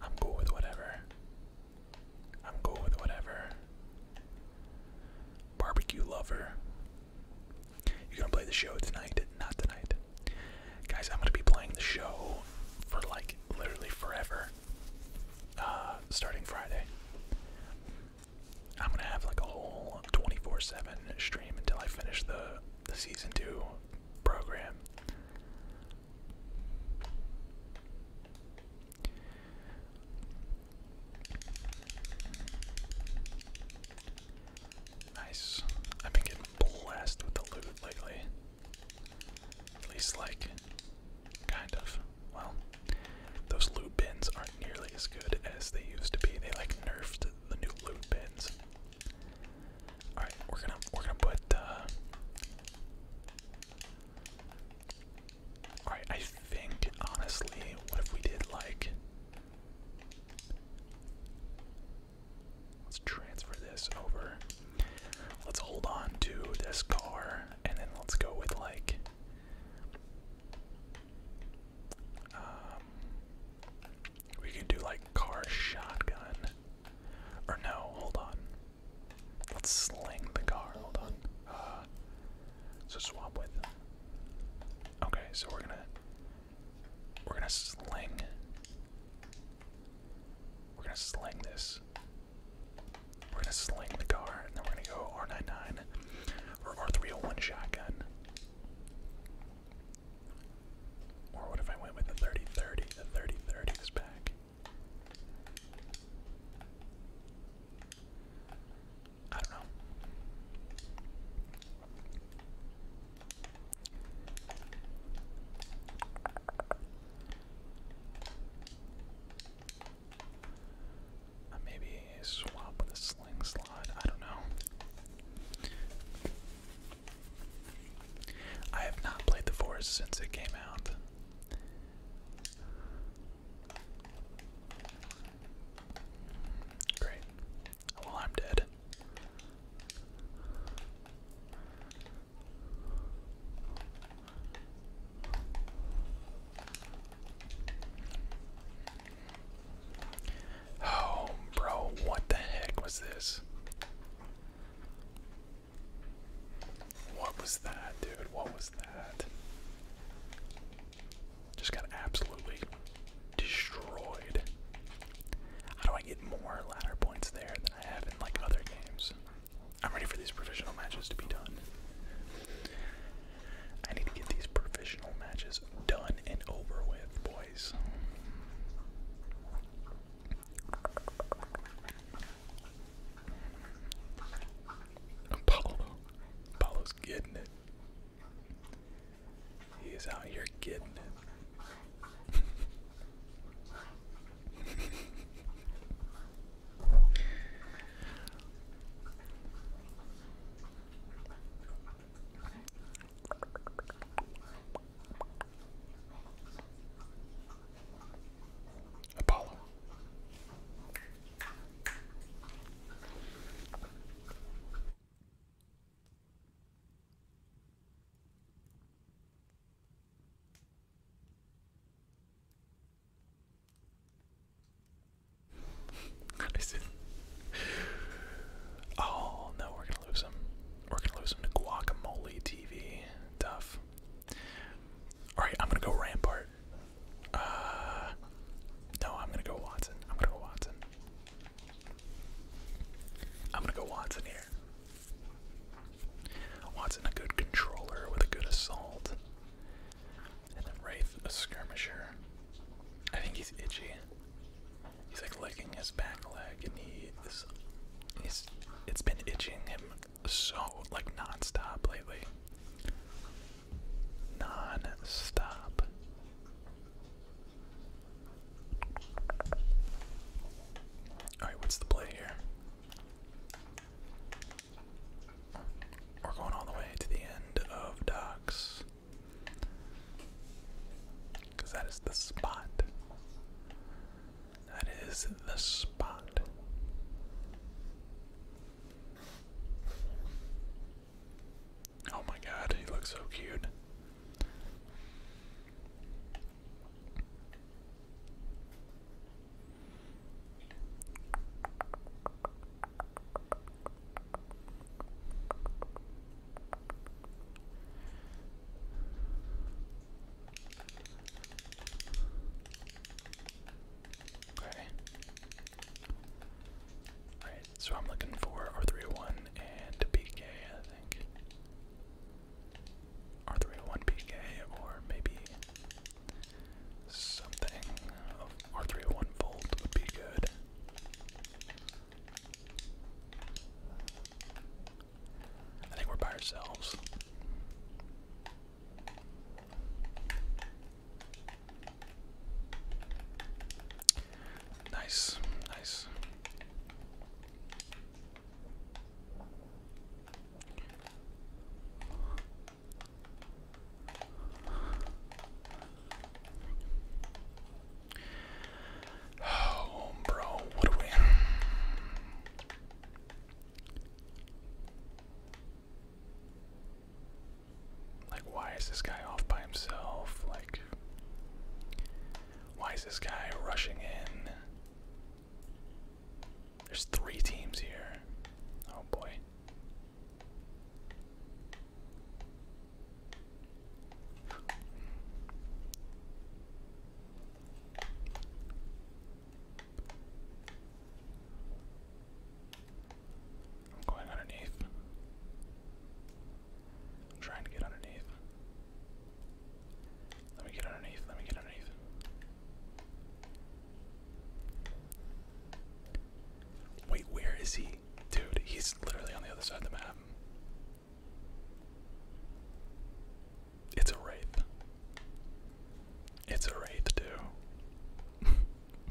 I'm cool with whatever. I'm cool with whatever. Barbecue lover. You're gonna play the show tonight? Not tonight. Guys, I'm gonna be playing the show for like literally forever. Uh, starting Friday. I'm gonna have like a whole 24-7 stream until I finish the the season two program. Nice. I've been getting blessed with the loot lately. At least, like, kind of. Well, those loot bins aren't nearly as good as they used to be. They like nerfed the new loot bins. All right, we're gonna we're gonna put. Uh, Alright, I think, honestly, what if we did like. Let's transfer this over. Let's hold on to this car and then let's go with like. Um, we could do like car shotgun. Or no, hold on. Let's sling the car. Hold on. Uh, so swap with. Okay, so we're gonna we're gonna sling. We're gonna sling this. We're gonna sling the car, and then we're gonna go R99 or R301 shotgun. Or what if I went with the 30-30? I don't know. Uh, maybe swap with a sling I don't know. I have not played The Forest since it came out. Great. Well, I'm dead. Oh, bro, what the heck was this? What was that, dude? What was that? Just got absolutely destroyed. How do I get more ladder points there than I have in like other games? I'm ready for these professional matches to be done. I need to get these professional matches done and over with, boys. Paulo's getting it. He is out here getting it. Apollo. Listen. Oh no, we're gonna lose him. We're gonna lose him to guacamole TV. Tough. Alright, I'm gonna go Rampart. Uh, no, I'm gonna go Watson. I'm gonna go Watson. I'm gonna go Watson here. Watson a good controller with a good assault. And then Wraith a skirmisher. I think he's itchy. He's like licking his back leg and he is he's it's been itching him so like nonstop lately non-stop. All right, what's the play here? We're going all the way to the end of docks. Because that is the spot. That is the spot. Oh my god, he looks so cute. Okay. Alright, so I'm looking for R301 and PK, I think. R301 PK, or maybe something of R301 Volt would be good. I think we're by ourselves. Nice, nice. Oh, bro, what are we? Like, why is this guy off by himself? Like, why is this guy rushing in? There's three teams here. Oh boy. I'm going underneath. I'm trying to get underneath. Let me get underneath. Let me get underneath. Wait, where is he? Dude, he's literally on the other side of the map. It's a wraith. It's a wraith, dude.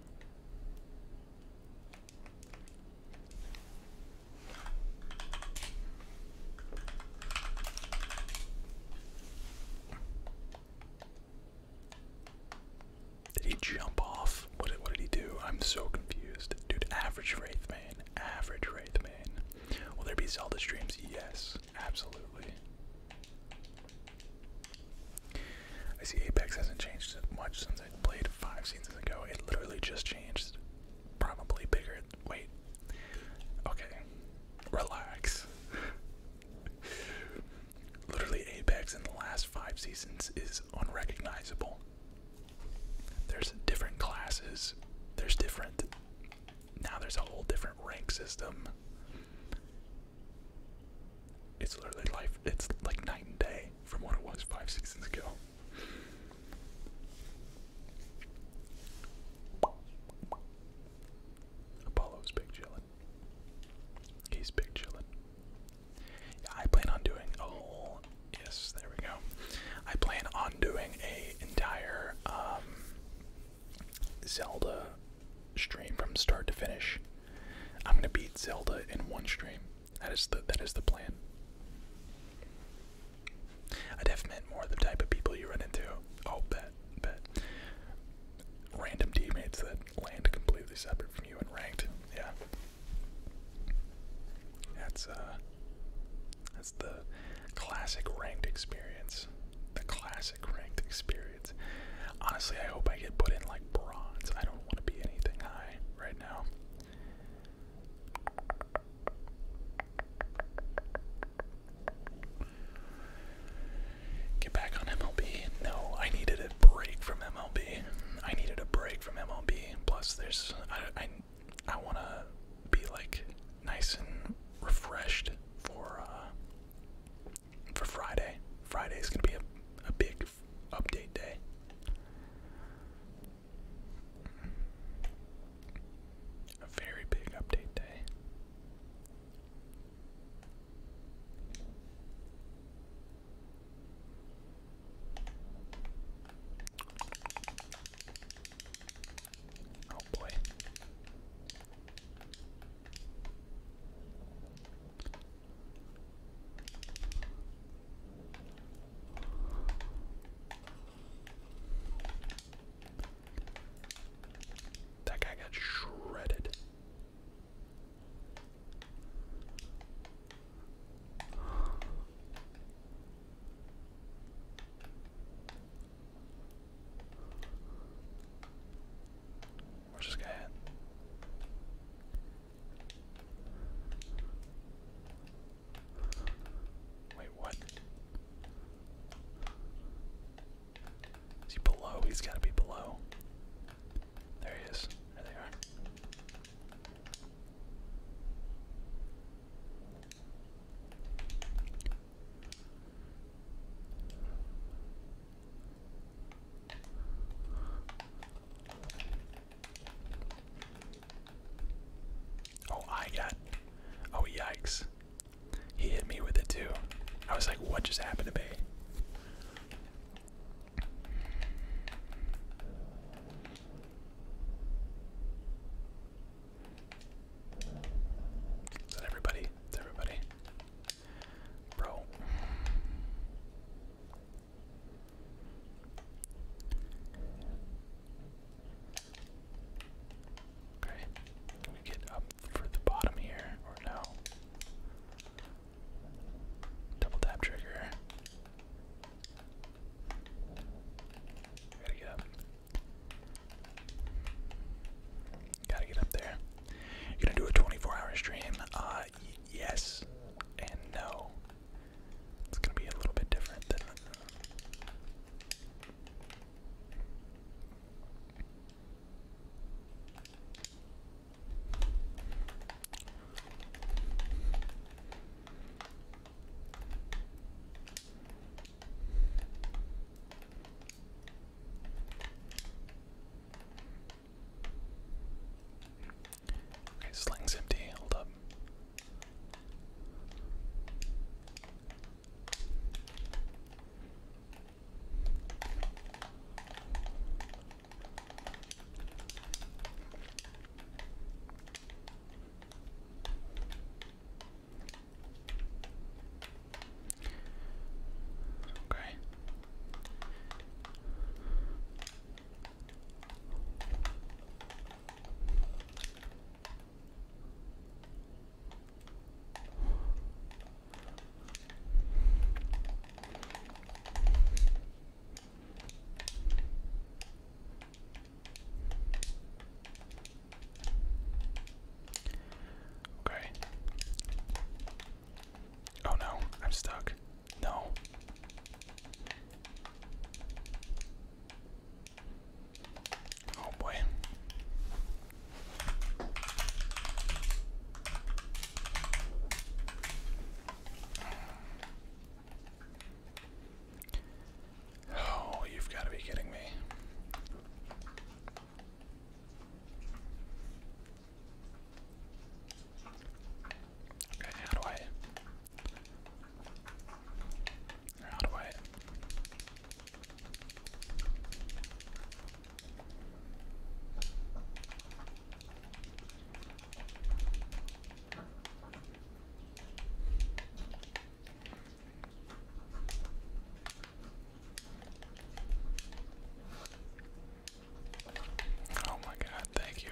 Did he jump off? What did, what did he do? I'm so confused. Dude, average Wraithman. Average Wraithman. Will there be Zelda streams? Yes, absolutely. I see Apex hasn't changed much since I played five seasons ago. It literally just changed. Probably bigger. Wait. Okay. Relax. literally, Apex in the last five seasons is unrecognizable. There's different classes, there's different. Now there's a whole different rank system. It's literally life. It's like night and day from what it was five seasons ago. Apollo's big chillin'. He's big chillin'. I plan on doing a whole. Yes, there we go. I plan on doing a entire um, Zelda stream from start to finish. I'm gonna beat Zelda in one stream. That is the that is the plan. I def meant more the type of people you run into. Oh, bet, bet. Random teammates that land completely separate from you and ranked. Yeah. That's uh that's the classic ranked experience. The classic ranked experience. Honestly, I hope I get put in like bronze. I don't want to be anything high right now. Get back on MLB. No, I needed a break from MLB. I needed a break from MLB. Plus, there's I I, I want to be like nice and refreshed for uh, for Friday. Friday is gonna be a, a big update day. A very big update day. Oh boy. That guy got shredded. Wait, what? Is he below? He's gotta be below. There he is. There they are. Oh, I got. Oh, yikes. He hit me with it too. I was like, what just happened to me? Is everybody? Is everybody? Bro. Okay. we get up for the bottom here or no? Double tap trigger. Gotta get up. Gotta get up there. You're gonna do a 24 hour stream. Uh, yes and no. It's gonna be a little bit different than. Okay, sling's empty. Hold up. Okay. Okay. Oh no, I'm stuck. No. Oh boy. Oh, you've got to be kidding me. Okay, how do I? How do I? Oh my god, thank you.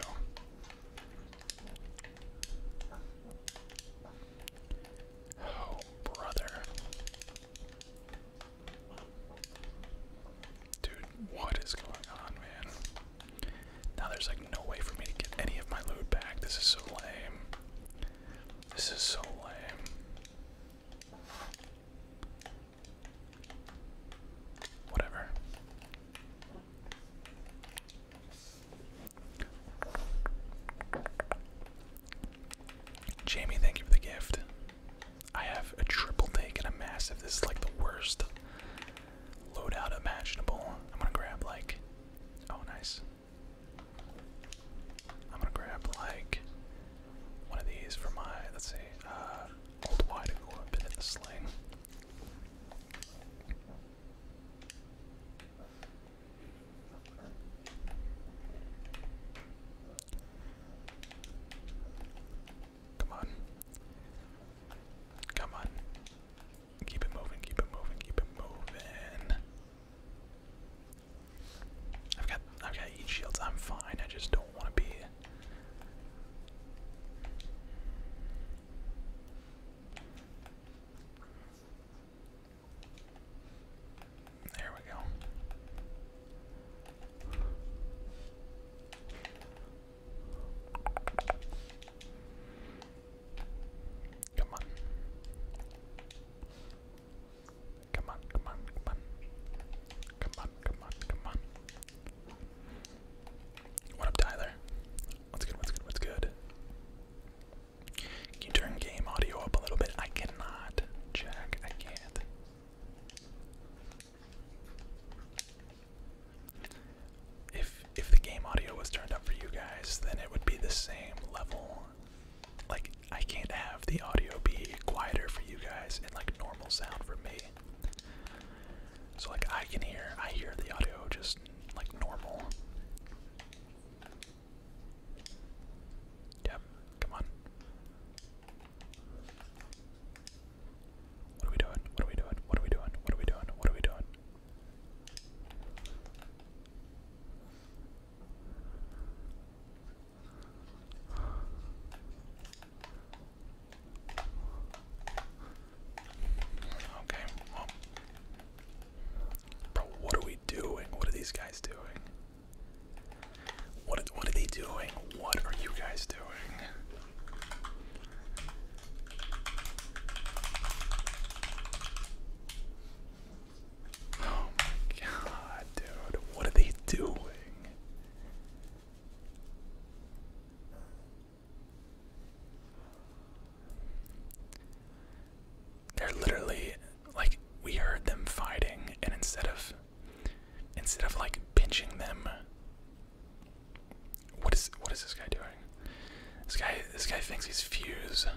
Oh, brother. Dude, what is going on, man? Now there's like no way for me to get any of my loot back. This is so lame. This is so lame. Whatever. Jamie, thank you for the gift. I have a triple take and a massive. This is like the worst loadout imaginable. I'm gonna grab like. Oh, nice. I'm gonna grab like one of these for my. Let's see. Uh, Come on. Come on. Keep it moving, keep it moving, keep it moving. I've got I've got heat shields, I'm fine, I just don't wanna be there we go. Come on. Come on, come on, come on. Come on, come on, what up, Tyler? What's good? What's good? What's good? Can you turn game audio up a little bit? I cannot, Jack. I can't. If if the game audio was turned up for you guys, then it would be the same level. Like I can't have the audio be quieter for you guys and like normal sound for me. So like I can hear I hear the audio just like normal. Yep, come on. What are we doing? What are we doing? What are we doing? What are we doing? What are we doing? Okay, Bro, what are we doing? What are these guys doing? What what are they doing? What are you guys doing? Oh my god, dude. What are they doing? They're literally like we heard them fighting and instead of instead of like pinching them what is what is this guy doing? This guy this guy thinks he's fused.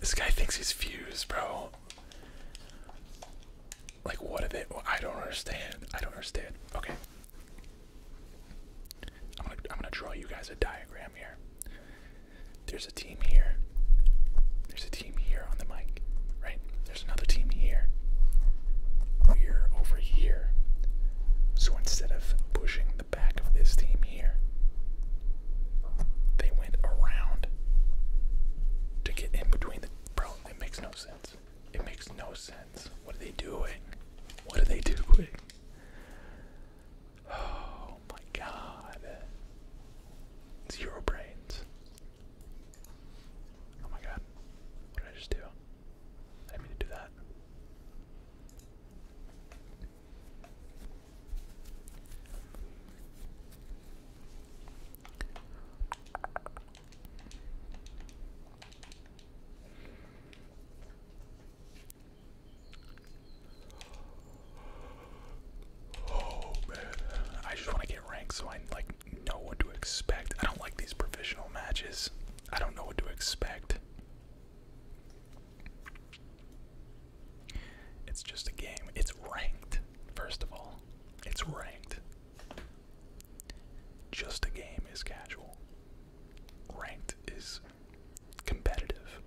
This guy thinks he's fused, bro. Like what are they I don't understand. I don't understand. Okay. I'm gonna I'm gonna draw you guys a diagram here. There's a team here. There's a team here on the mic, right? There's another team here. We're over here. So instead of pushing the back of this team here, they went around to get in between the bro. It makes no sense. It makes no sense. What are they doing? What are they doing? Oh my god. Zero brains. Oh my god. What did I just do? I didn't mean to do that. Oh man, I just want to get ranked so I like know what to expect. I don't like these professional matches. I don't know what to expect. It's just a game. It's ranked. First of all, it's ranked. Just a game is casual. Ranked is competitive.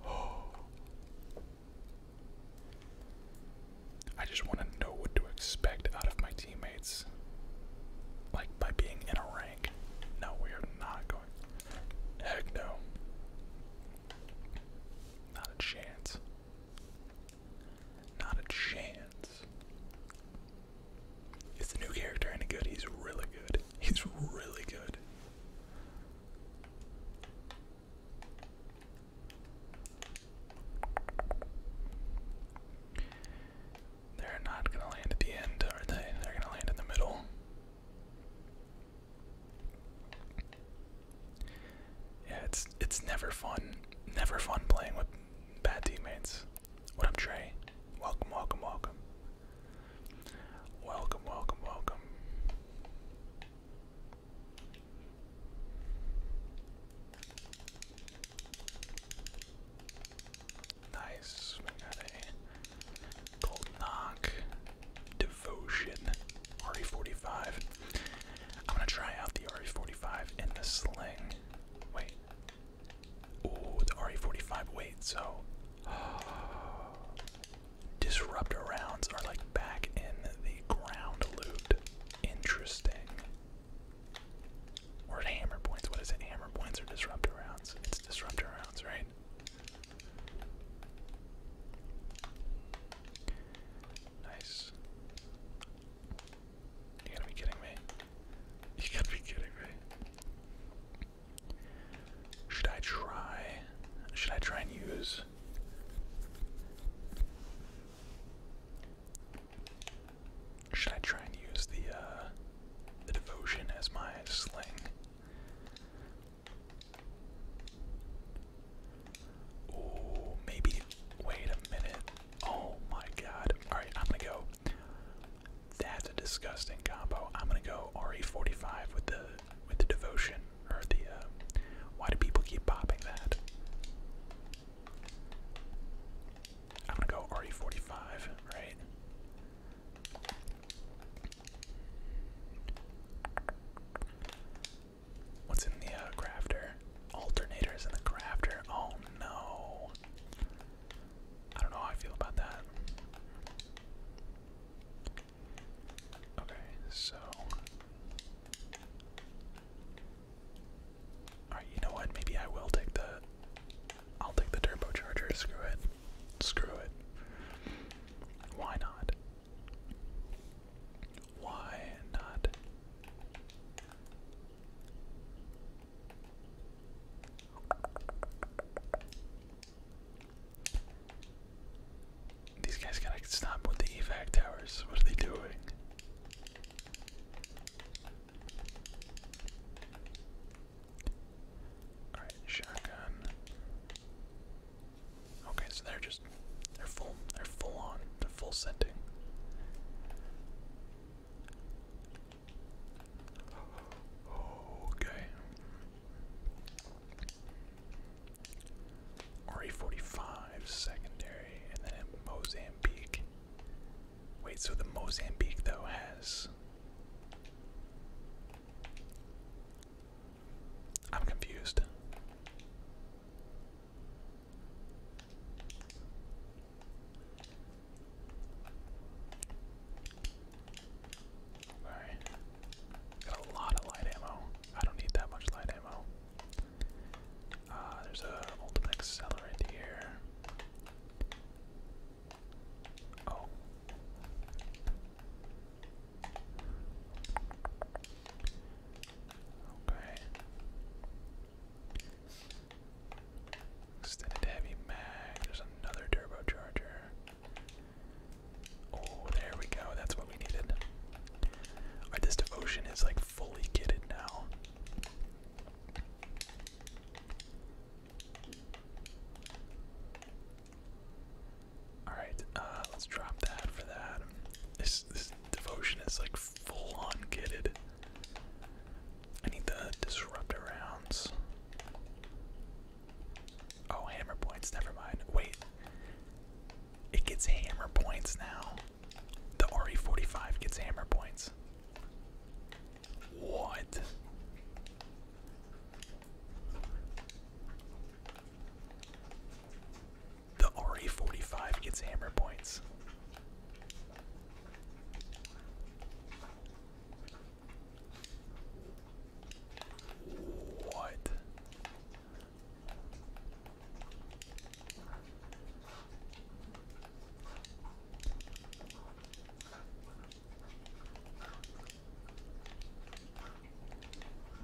I just want to know what to expect out of my teammates. Like by being in a rank. No, we are not going. Heck no. Not a chance. Not a chance. Is the new character any good? He's really good. He's really good. They're not gonna land at the end, are they? They're gonna land in the middle. Yeah, it's it's never fun, never fun playing with bad teammates. What up, Trey? Welcome, welcome, welcome. Welcome, welcome, welcome. Nice. Cold Knock, Devotion, RE45. I'm gonna try out the RE45 in the sling. Wait. Oh, the RE45. Wait, so. Disruptor rounds are like back in the ground loot. Interesting. Or hammer points. What is it? Hammer points are disruptor rounds? It's disruptor rounds, right? Nice. You gotta be kidding me. You gotta be kidding me. Should I try? Should I try and use? Should I try and use the uh, the devotion as my sling? Oh, maybe. Wait a minute. Oh my god. Alright, I'm gonna go. That's a disgusting combo. I'm gonna go RE45 with the with the devotion or the uh, why do people keep popping that? I'm gonna go RE45, right? What's in the uh, crafter? Alternators in the crafter. Oh no. I don't know how I feel about that. Okay, so. Alright, you know what? Maybe I will take the. I'll take the turbocharger. Screw it. Screw it. Why not? Why not? These guys gotta stop with the evac towers. What are they doing? Alright, shotgun. Okay, so they're just they're full they're full on. They're full scenting. Okay. RE45 secondary, and then Mozambique. Wait, so the Mozambique though has I'm confused. Alright. Got a lot of light ammo. I don't need that much light ammo. Uh, there's a ultimate accelerant here. Oh. Okay. Extended heavy mag. There's another turbocharger. Oh, there we go. That's what we needed. Our devotion is like fully kitted now. Alright, uh, let's drop that for that. This, this devotion is like full on kitted. I need the disruptor rounds. Oh, hammer points, never mind. Wait. It gets hammer points now. The RE45 gets hammer points. What? The RE45 gets hammer points. What?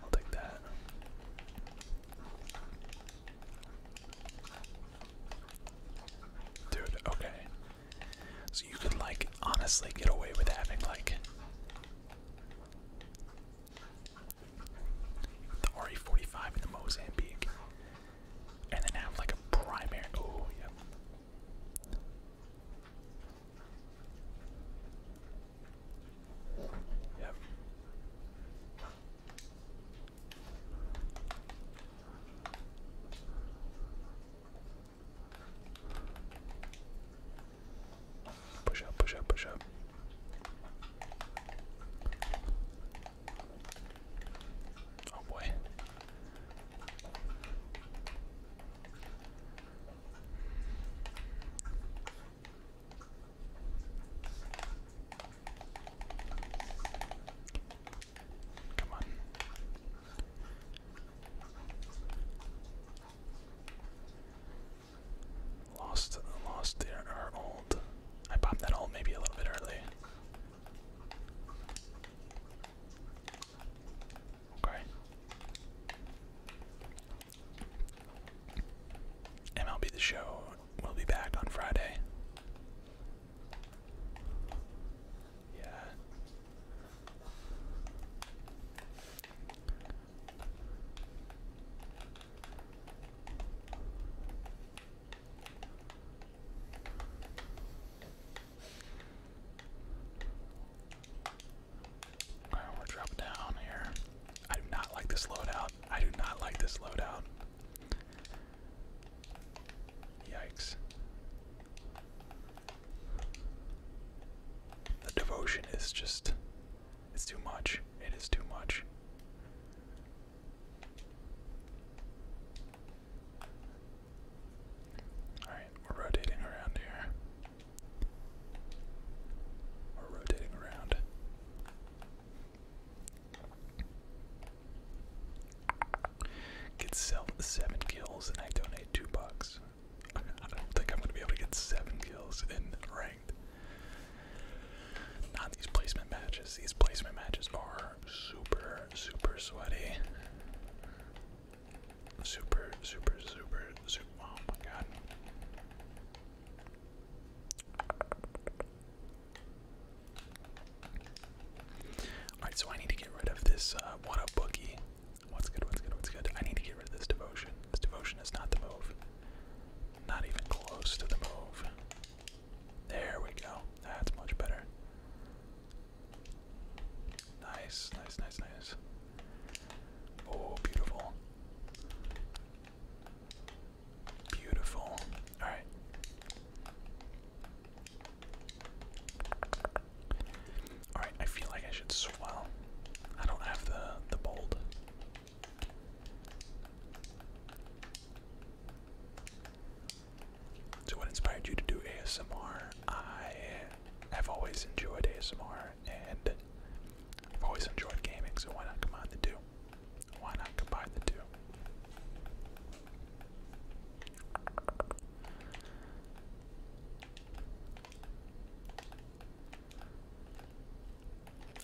I'll take that. Dude, okay. So you could, like, honestly get away with having, like, the RE45 and the Mozambique, and then have, like, a primary. Oh, yep. Push up, push up, push up. Oh boy. Come on. Lost, lost There our old. I popped that old maybe a little bit early. Okay. MLB The Show will be back on Friday. Yeah. All right, we're dropping down here. I do not like this loadout. I do not like this loadout. Yikes. The devotion is just. It's too much. It is too much. Alright, we're rotating around here. Or rotating around. Get seven kills and I donate two bucks. I don't think I'm gonna be able to get seven kills in ranked. Not these placement matches. These placement matches are super, super sweaty. Super, super, super, super. Oh my god. Alright, so I need to get rid of this uh, what up bookie. What's good, what's good, what's good? I need to get rid of this devotion. This devotion is not the move. Not even close to the move. There we go. That's much better. Nice, nice, nice, nice. Oh, beautiful. Beautiful. Alright. Alright, I feel like I should swell. I don't have the the bold. So what inspired you to do ASMR? I have always enjoyed ASMR and I've always enjoyed gaming, so why not combine the two? Why not combine the two?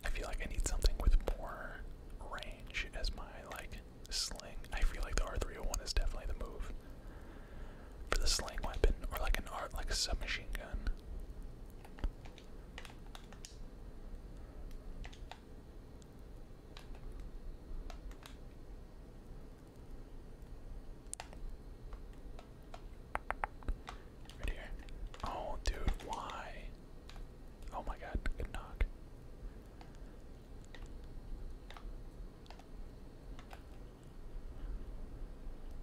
I feel like I need something with more range as my like sling. I feel like the R301 is definitely the move for the sling weapon, or like an art like a submachine gun. Right here. Oh, dude, why? Oh my god, good knock.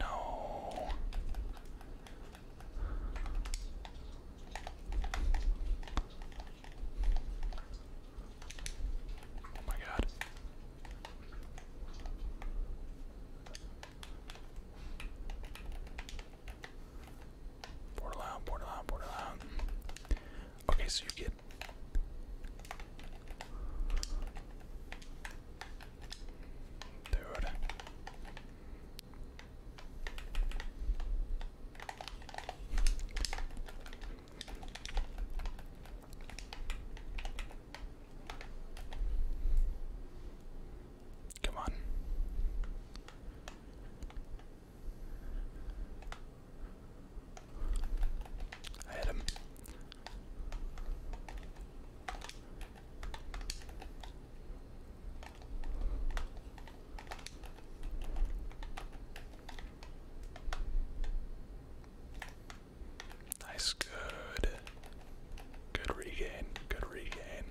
No. Oh my god. Portal out, portal out, portal out. Okay, so you get Dude. Come on. I hit him. Nice, good. Good regain, good regain.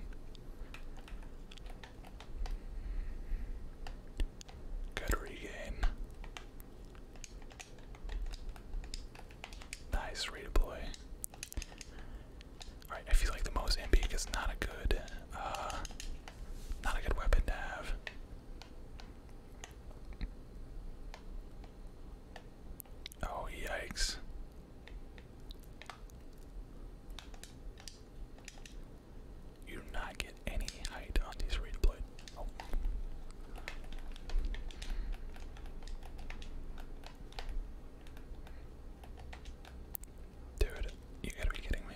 Good regain. Nice redeploy. Alright, I feel like the Mo's Impic is not a good uh, not a good weapon to have. Oh yikes. You do not get any height on these read Dude, you gotta be kidding me.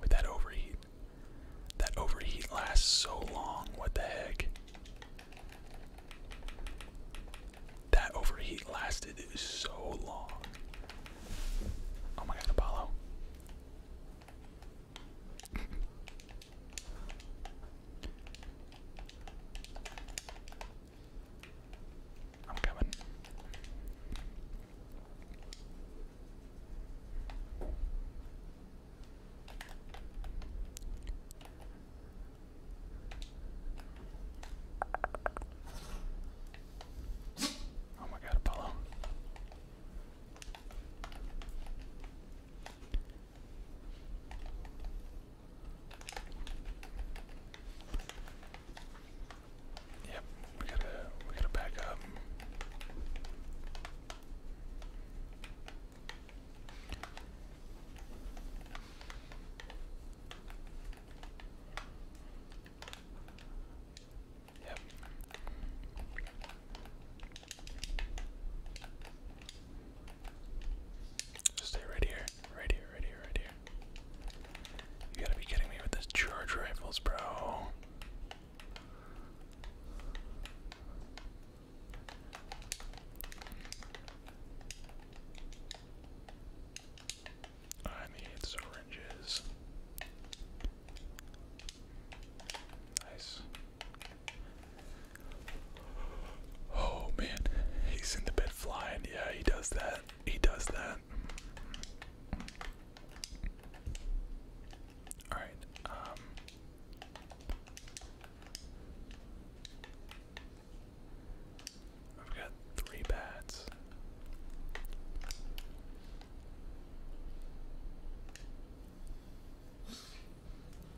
With that overheat. That overheat lasts so long. What the heck? That overheat lasted so long. Oh my god, Apollo. I'm coming. Oh my god, Apollo. Yep, we gotta we gotta back up. Yep stay right here, right here, right here, right here. You gotta be kidding me with this charge rifles, bro. I need syringes. Nice. Oh man, he's in the bed flying. Yeah, he does that. He does that. Alright, um. I've got three bats.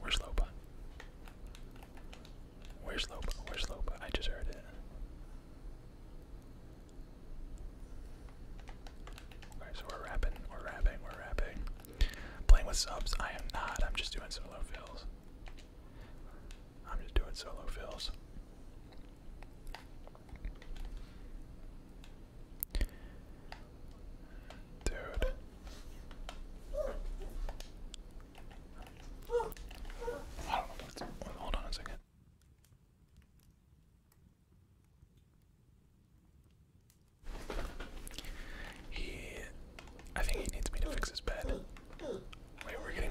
Where's Loba? Where's Loba? Where's Loba? I just heard it. Okay, so we're rapping, we're rapping, we're rapping. Playing with subs, I am not. I'm just doing solo fills. I'm just doing solo fills. Dude. I don't know hold on a second. He I think he needs me to fix his bed. Wait, we're getting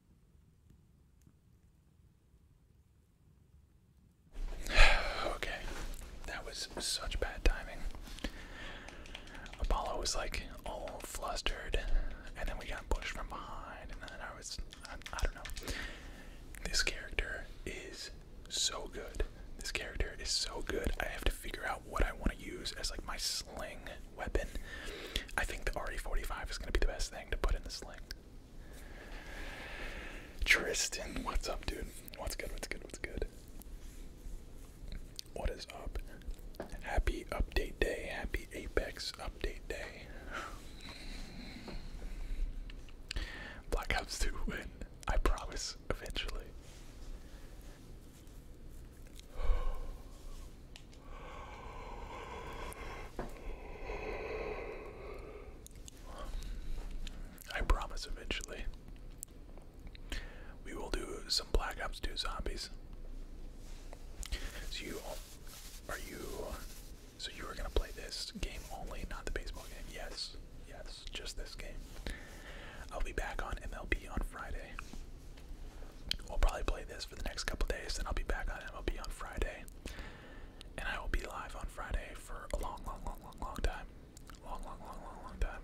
okay, that was such bad timing. Apollo was like all flustered, and then we got pushed from behind, and then I was, I, don't know. This character is so good. This character is so good. I have to figure out what I want to use as like my sling weapon. I think the RE45 is going to be the best thing to put in the sling. Tristan, what's up, dude? What's good? What's good? What's good? What is up? Happy update day. Happy Apex update day. Blackouts Ops win. I promise eventually. I promise eventually we will do some Black Ops 2 zombies. So you are you so you are gonna play this game only, not the baseball game. Yes. Yes, just this game. I'll be back on MLB on Friday. We'll probably play this for the next couple days, then I'll be back on MLB on Friday and I will be live on Friday for a long, long, long, long, long time. Long, long, long, long, long time.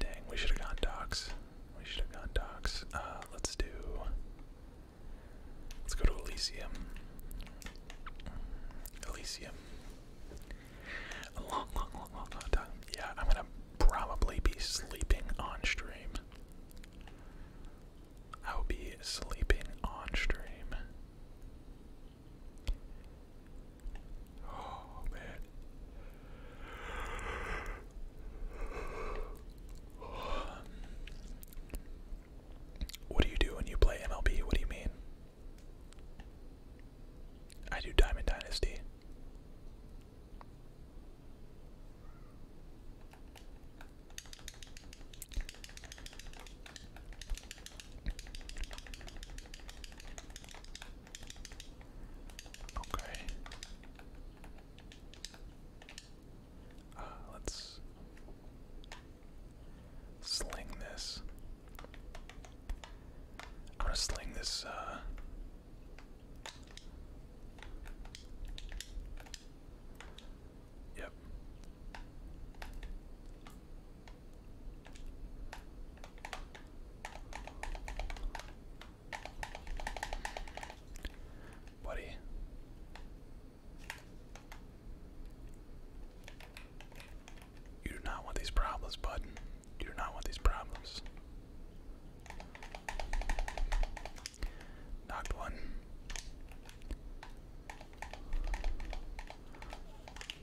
Dang, we should have gone docs. We should have gone docs. Uh, let's do. Let's go to Elysium. Elysium. A long, long, long, long time. Yeah, I'm gonna probably be sleeping on stream. I will be sleeping on stream. Oh man. What do you do when you play MLB? What do you mean? I do Diamond Dynasty. Okay. Uh, let's Sling this. I'm gonna sling this, uh, Yep. Buddy. You do not want these problems, button. You do not want these problems. Knocked one.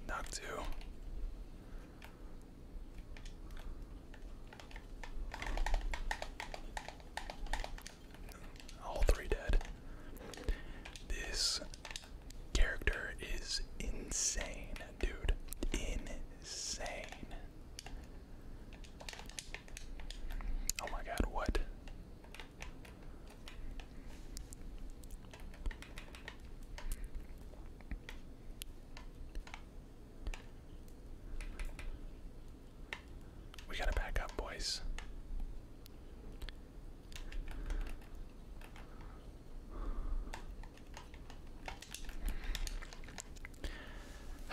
Knocked two. All three dead. This character is insane, dude. Insane. Oh my god, what? We gotta back up, boys.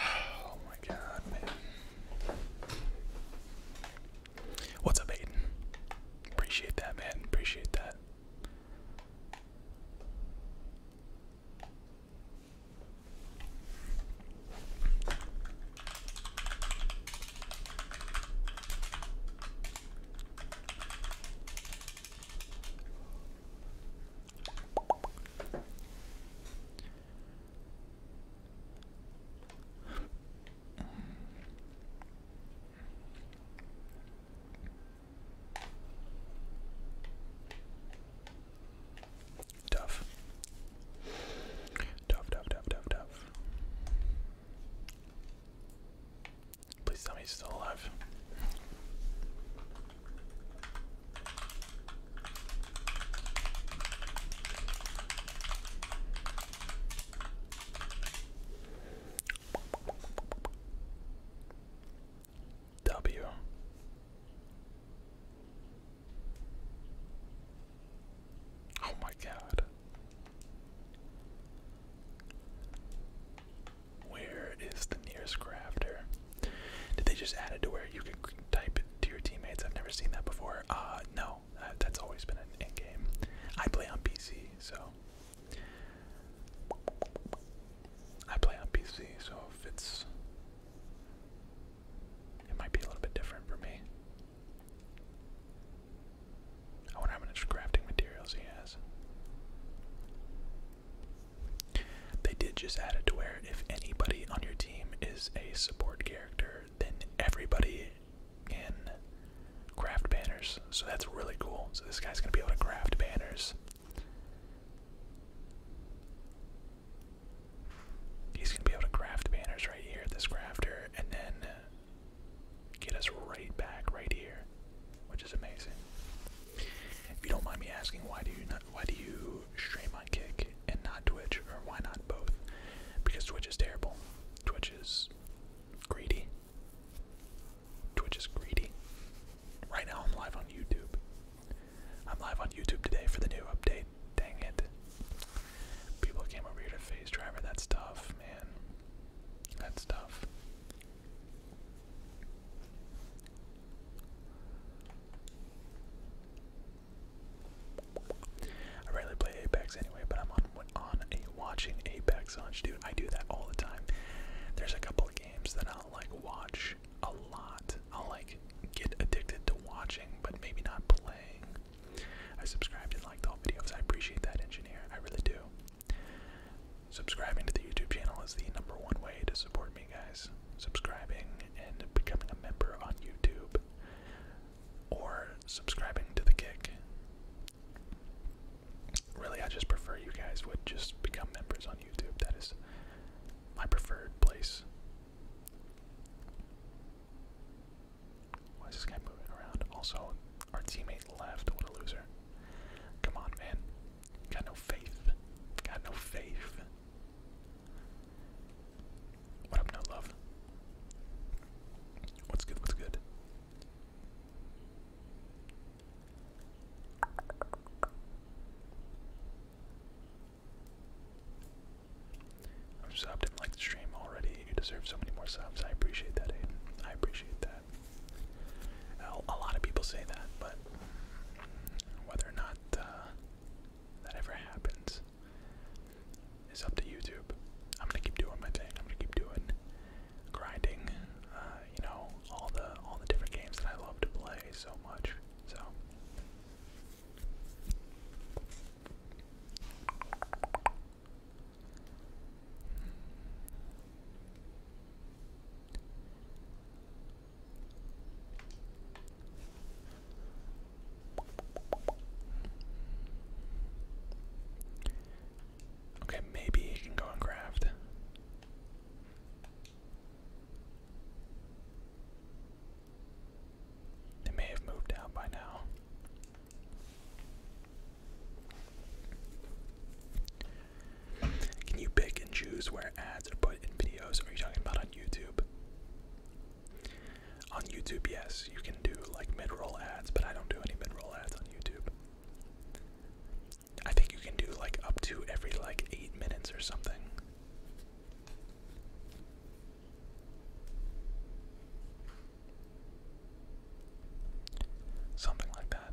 Oh my god, man. What's up, Aiden? Appreciate that, man. Appreciate that. Tough. Tough, tough, tough, tough, Please tell me he's still alive. W. Oh my god. Where is the nearest crafter? Did they just add it to where you can type to your teammates? I've never seen that before. Uh, no, uh, that's always been an in game. I play on PC, so. I play on PC, so if it's. It might be a little bit different for me. I wonder how much crafting materials he has. They did just add it to where if anybody on your team is a support character, then everybody can craft banners. So that's really cool. So this guy's going to be able to craft banners. He's going to be able to craft banners right here, this crafter, and then get us right back right here, which is amazing. If you don't mind me asking, why do you not? Why do you stream on Kick and not Twitch, or why not both? Because Twitch is terrible. Twitch is greedy. Twitch is greedy. Right now, I'm live on YouTube. I'm live on YouTube today for the new update. Dang it. People came over here to face driver. That's tough, man. That's tough. I rarely play Apex anyway, but I'm on on a watching Apex launch, dude. I do that all the time. There's a couple of games that I'll like watch a lot. I'll like get addicted to watching, but maybe not playing. I subscribed and liked all videos. I appreciate that, engineer. I really do. Subscribing to the YouTube channel is the number one way to support me, guys. Subscribing and becoming a member on YouTube, or subscribing to the Kick. Really, I just prefer you guys would just become members on YouTube. That is my preferred place. Why is this guy moving around? Also, our teammate left. What a loser. Come on, man. Got no faith. Got no faith. What up, no love? What's good? What's good? I've subbed and the stream already. You deserve so many more subs. I appreciate that, I appreciate that a lot of people say that, but whether or not uh, that ever happens is up to YouTube. I'm gonna keep doing my thing. I'm gonna keep doing grinding. Uh, you know, all the all the different games that I love to play so much. So. Okay, maybe he can go and craft. They may have moved out by now. Can you pick and choose where ads are put in videos? Are you talking about on YouTube? On YouTube, yes, you can do like mid roll ads, but I don't do any mid roll ads on YouTube. I think you can do like up to every like eight minutes or something. Something like that.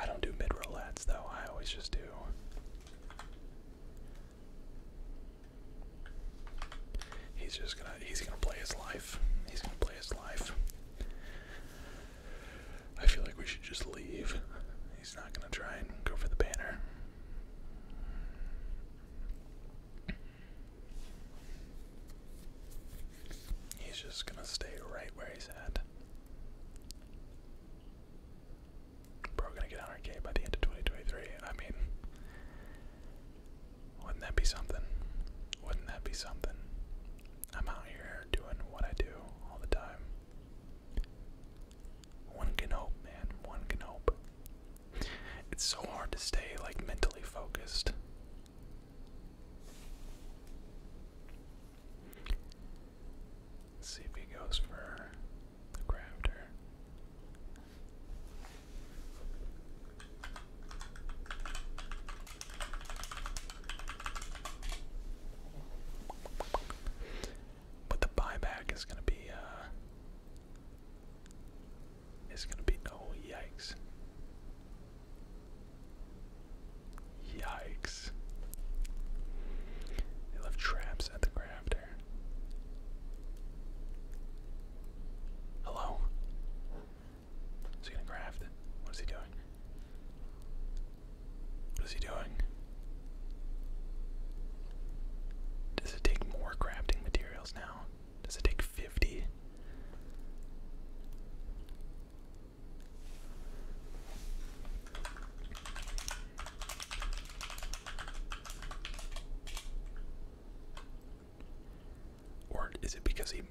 I don't do mid roll though, I always just do. He's just gonna he's gonna play his life. He's gonna play his life. I feel like we should just leave. He's not gonna try and go for the banner. He's just gonna stay right where he's at. Bro, gonna get 100k by the end of 2023. I mean, wouldn't that be something? Wouldn't that be something? I'm out here doing what I do all the time. One can hope, man. One can hope. It's so hard to stay like mentally focused Let's see if he goes for the crafter. But the buyback is going to be uh, it's going to be. no oh, yikes. Yikes. They left traps at the crafter. Hello? Is he going What is he doing? What is he doing? Does it take more crafting materials now? Does it take 50? Or is it because he.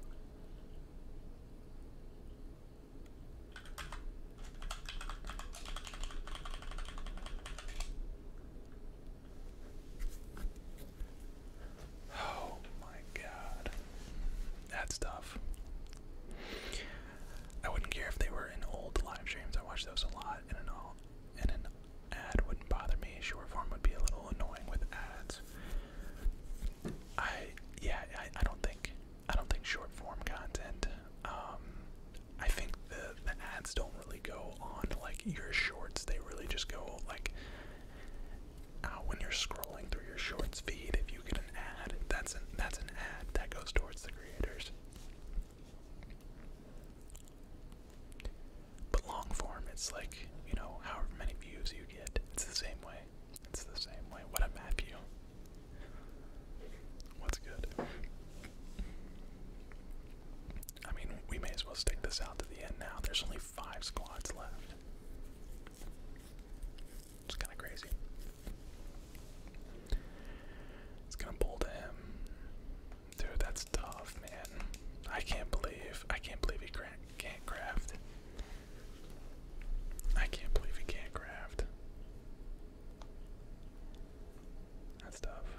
Oh my god. That's tough. I wouldn't care if they were in old live streams. I watch those a lot and an ad wouldn't bother me. Short form would be a little annoying with ads. I yeah, I, don't think I don't think short form content. Um, I think the the ads don't really go on like your shorts. They really just go like out uh, when you're scrolling through your shorts feed, if you get an ad, that's an that's an ad that goes towards the creators. But long form, it's like you know, however many views you get, it's the same way. It's the same way. What a map view. What's good? I mean, we may as well stick this out to the end now. There's only five squads left. It's kind of crazy. It's gonna pull to him, dude. That's tough, man. I can't believe I can't believe he can't craft. I can't believe he can't craft. That's tough.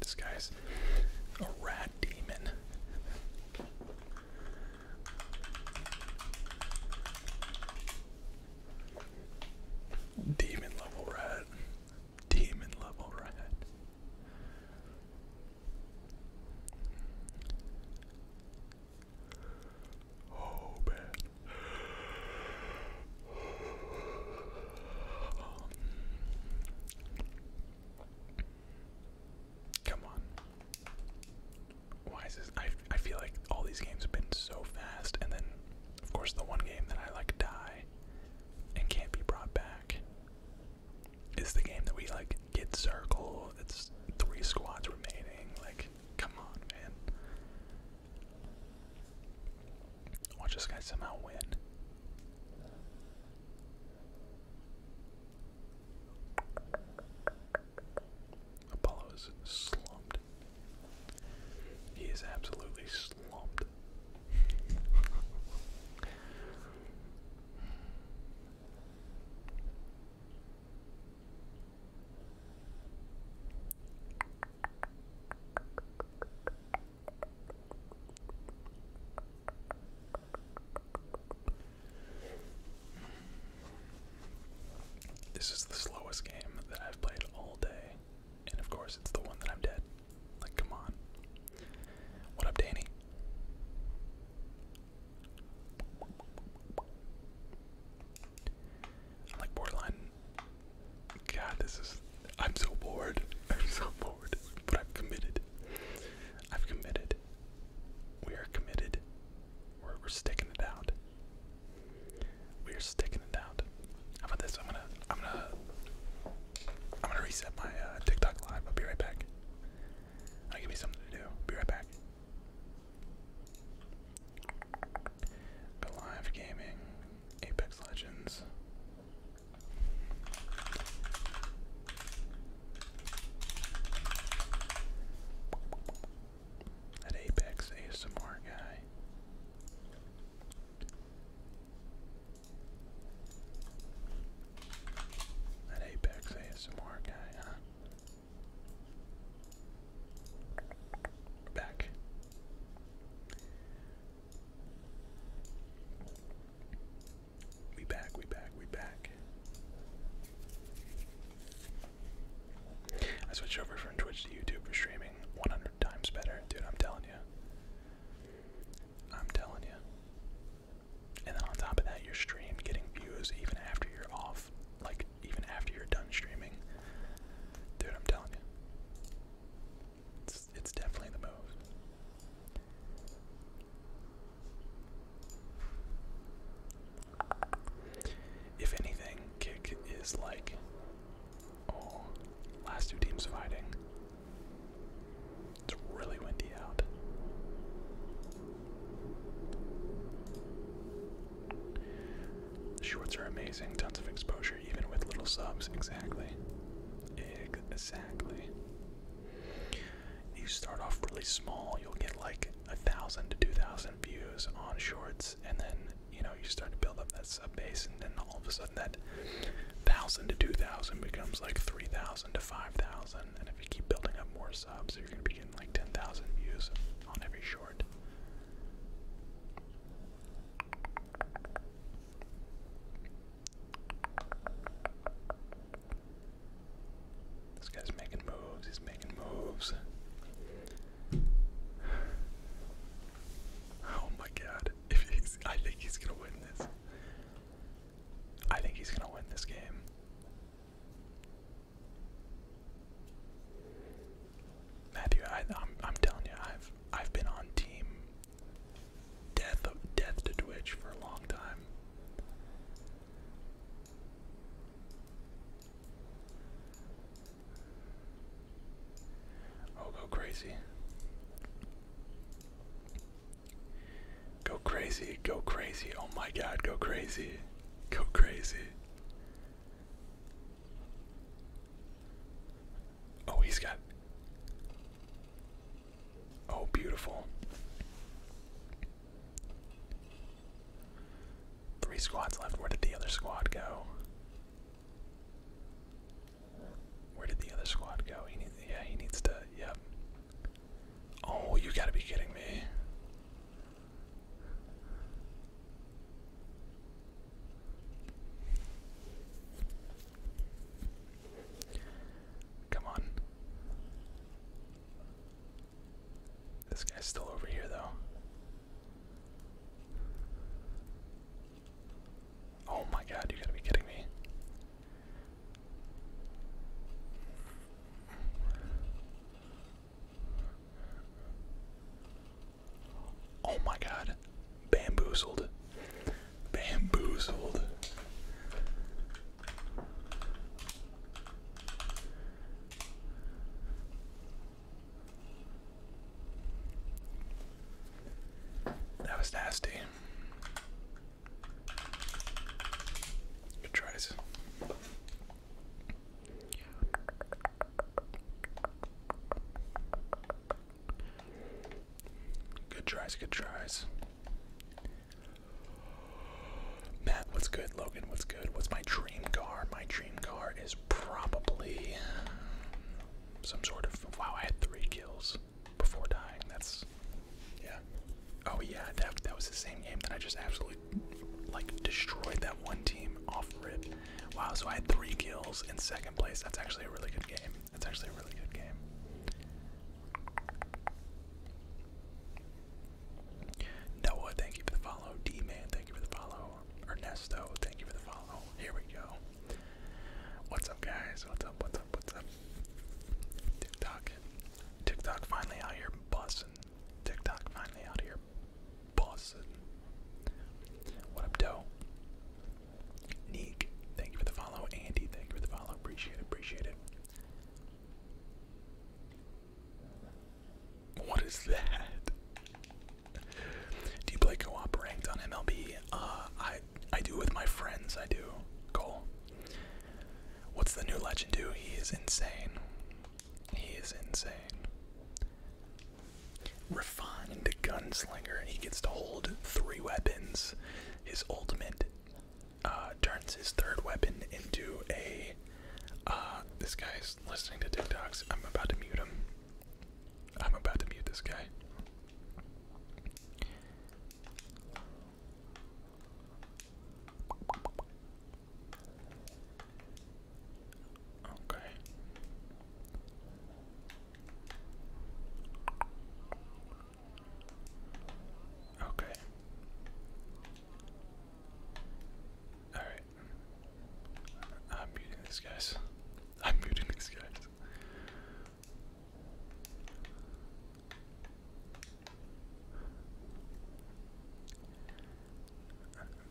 This guy's a rat demon. Demon level rat. Demon level rat. Oh, man. Um, come on. Why is this? I, I feel like all these games have been so fast, and then, of course, the one game that I like die and can't be brought back is the game that we like get circle. It's three squads remaining. Like, come on, man. Watch this guy somehow win. Apollo is slumped. He is absolutely slumped. This is the slowest game that I've played all day, and of course, it's the one that I'm dead. Like, come on. What up, Danny? I'm like borderline. God, this is. I'm so bored. I'm so bored. But I'm committed. I've committed. We are committed. We're, we're sticking it out. We are sticking it out. How about this? I'm gonna. I'm gonna. I'm gonna reset my uh, TikTok live. I'll be right back. I'll give me something to do. Be right back. Goliath Gaming, Apex Legends. That Apex ASMR guy. That Apex ASMR guy, huh? Back. We back, we back, we back. I switched over from Twitch to YouTube for streaming 100 times better. Dude, I'm telling you. I'm telling you. And then on top of that, you're stream getting views even after you're off, like even after you're done streaming. Dude, I'm telling you. It's, it's definitely the move. If anything, kick is like, oh, last two teams fighting. It's really windy out shorts are amazing, tons of exposure, even with little subs. Exactly. Exactly. You start off really small, you'll get like a thousand to two thousand views on shorts, and then you know you start to build up that sub base, and then all of a sudden that thousand to two thousand becomes like three thousand to five thousand, and if you keep building up more subs, you're gonna be getting like ten thousand views on every short. This guy's making moves, he's making moves. Oh my god. I think he's gonna win this. I think he's gonna win this game. Matthew, I, am I'm telling you, I've I've been on team death death to Twitch for a long time. Oh, go crazy. Go crazy, go crazy. Oh my god, go crazy. Go crazy. Oh, he's got. Oh, beautiful. Three squads left. Where did the other squad go? Where did the other squad go? He needs, yeah, he needs to. Yep. Oh, you gotta be kidding me. Come on. This guy's still over here, though. Oh my god, you gotta be kidding me. Oh my god. Bamboozled. Bamboozled. That was nasty. Good tries. Good tries, good tries. Matt, what's good? Logan, what's good? What's my dream car? My dream car is probably some sort of. Wow, I had three kills before dying. That's. Yeah. Oh, yeah, that, that was the same game that I just absolutely, like, destroyed that one team off rip. Wow, so I had three kills in second place. That's actually a really good game. It's actually a really good game. Noah, thank you for the follow. D-Man, thank you for the follow. Ernesto, thank you for the follow. Here we go. What's up, guys? What's up? What's up? What's up? TikTok. TikTok finally out here buzzing. TikTok finally out here buzzing. What up, Doe? Neek, thank you for the follow. Andy, thank you for the follow. Appreciate it, appreciate it. What is that? Do you play co on MLB? Uh, I I do with my friends. I do. Cole. What's the new legend do? He is insane. He is insane refined gunslinger. He gets to hold three weapons. His ultimate uh, turns his third weapon into a. Uh, this guy's listening to TikToks. I'm about to mute him. I'm about to mute this guy. Okay. Okay. Alright. I'm muting these guys. I'm muting these guys.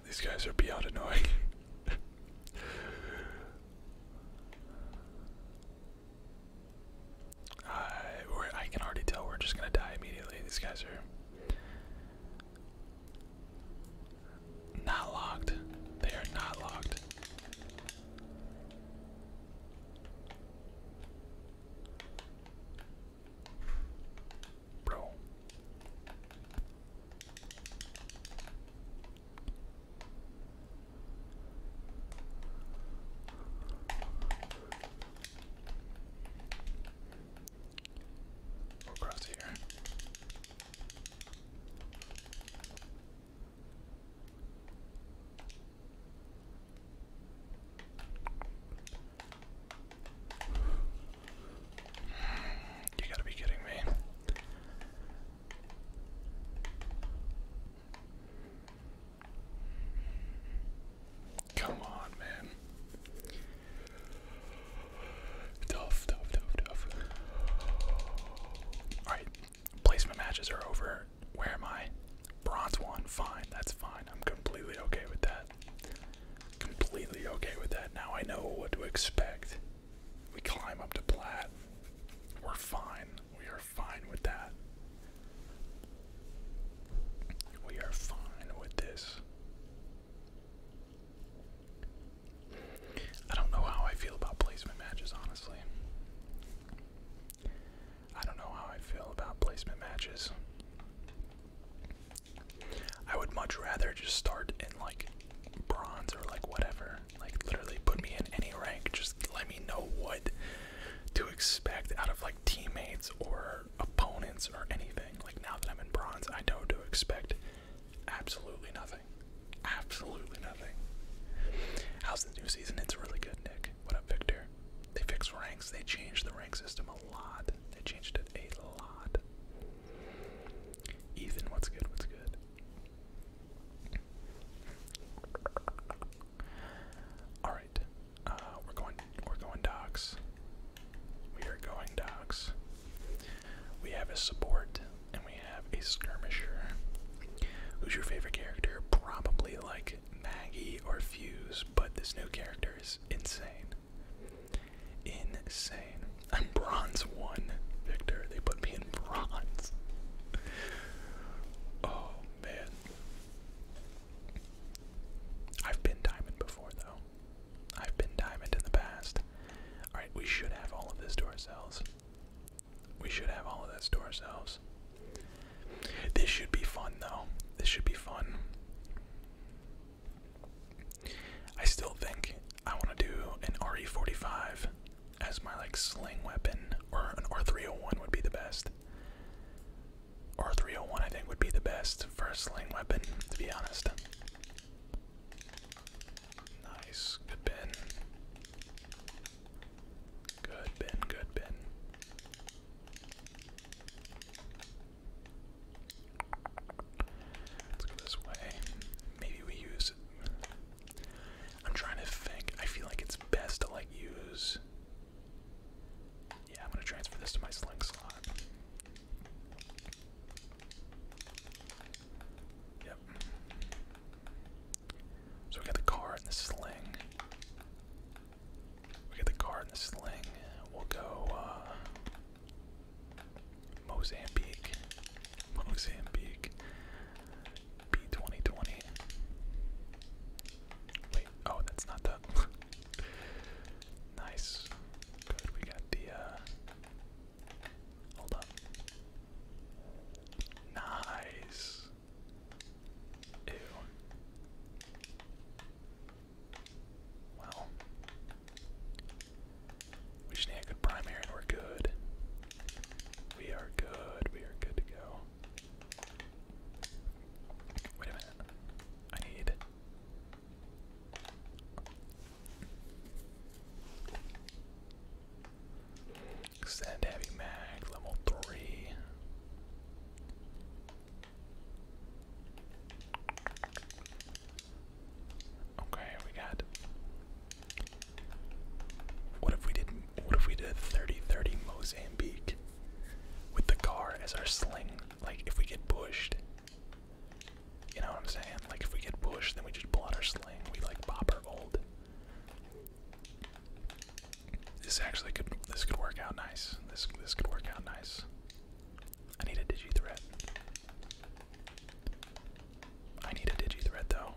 These guys are beyond annoying. Uh, I can already tell we're just gonna die immediately. These guys are not locked. They are not locked. Bro. We'll cross You gotta be kidding me. Come on, man. Tough, tough, tough, tough. Alright, placement matches are over. Where am I? Bronze one, fine, that's fine. I'm completely okay with that. Completely okay with that. Now I know what to expect. We climb up to plat. We're fine. We are fine with that. We are fine with this. I don't know how I feel about placement matches, honestly. I don't know how I feel about placement matches. I would much rather just start in like bronze or like whatever. Like literally put me in any rank. Just let me know what to expect out of like teammates or opponents or anything. Like now that I'm in bronze, I know to expect absolutely nothing. Absolutely nothing. How's the new season? It's really good, Nick. What up, Victor? They fixed ranks. They changed the rank system a lot. They changed it a lot. Ethan, what's good? What's good? All right, uh, we're going. We're going docs. We are going docs. We have a support and we have a skirmisher. Who's your favorite character? Probably like Maggie or Fuse, but this new character is insane. Insane. I'm bronze one, Victor. They put me in bronze. Oh man. I've been diamond before though. I've been diamond in the past. Alright, we should have all of this to ourselves. We should have all of this to ourselves. This should be fun though. This should be fun. I still think I want to do an RE45 as my like sling weapon, or an R301 would be the best. R301 I think would be the best for a sling weapon, to be honest. Nice, good bin. Good bin, good bin. Let's go this way. Maybe we use I'm trying to think. I feel like it's best to like use. Yeah, I'm gonna transfer this to my sling slot. Yep. So we got the car and the sling. We got the car and the sling. We'll go uh, Mozambique. Mozambique. B2020. Wait, oh, that's not the. nice. Good, we got the. Uh, hold up. Nice. Ew. Well. We just need a good primary and we're good. We are good. We are good to go. Wait a minute. I need. Extend heavy mag, level three. Okay, we got what if we did what if we did 30-30 Mozambique with the car as our sling? Like if we get pushed. You know what I'm saying? Like if we get pushed, then we just pull out our sling. We like pop our old. This actually could this could work out nice. This this could work out nice. I need a digi threat. I need a digi threat though.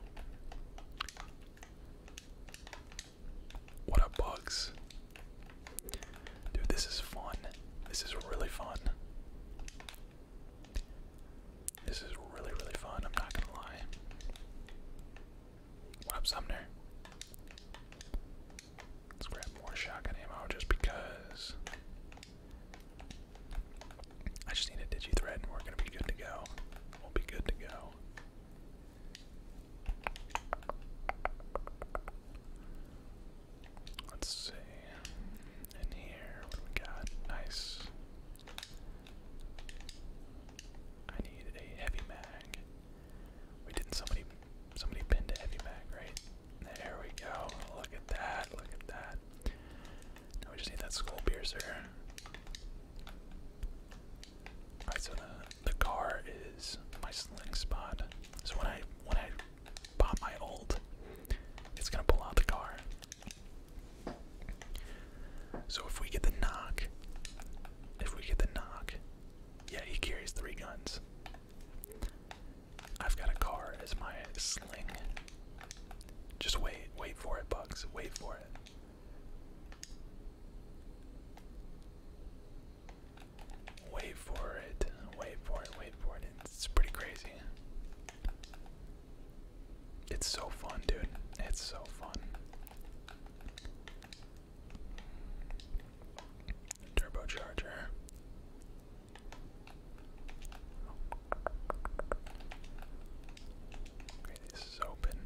What up, bugs? Dude, this is fun. This is really fun. This is really, really fun, I'm not gonna lie. What up, Sumner? Let's grab more shotgun ammo just because. I just need a digi thread and we're gonna be good to go. We'll be good to go. Let's see. In here, what do we got? Nice. I need a heavy mag. We didn't somebody somebody pinned a heavy mag, right? There we go. Look at that. Look at that. Now we just need that skull piercer so the uh, the car is my sling spot. So when I when I pop my old, it's gonna pull out the car. So if we get the knock, if we get the knock, yeah, he carries three guns. I've got a car as my sling. Just wait, wait for it, Bugs. Wait for it. Wait for it. Wait for it. Wait for it. It's pretty crazy. It's so fun, dude. It's so fun. Turbocharger. Okay, this is open.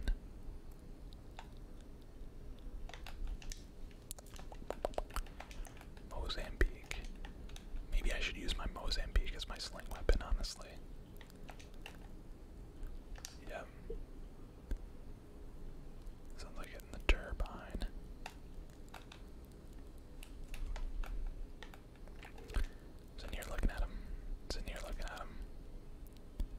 Mozambique. Maybe I should use my Mozambique as my sling weapon, honestly. Yep. Sounds like hitting the turbine. Sitting here looking at him. Sitting here looking at him.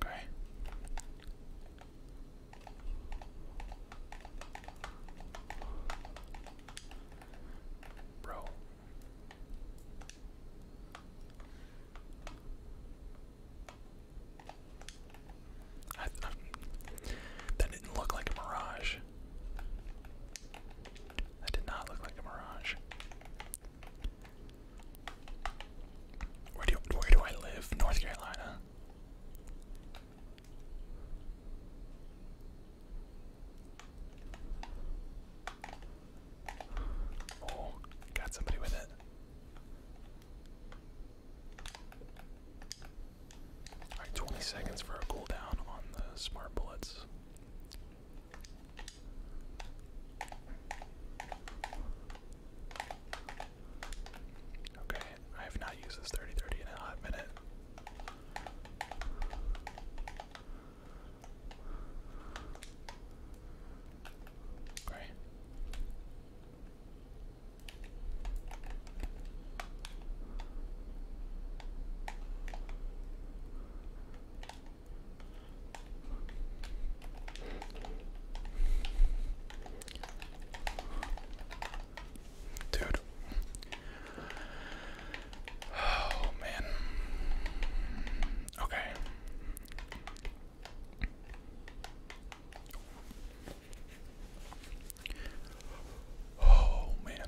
Okay. Bro. that didn't look like a mirage. That did not look like a mirage. Where do where do I live? North Carolina. Oh, got somebody with it. Alright, 20 seconds for a cooldown on the smart bullets. Okay, I have not used this 3030 in a hot minute. Okay. Dude. Oh man. Okay. Oh man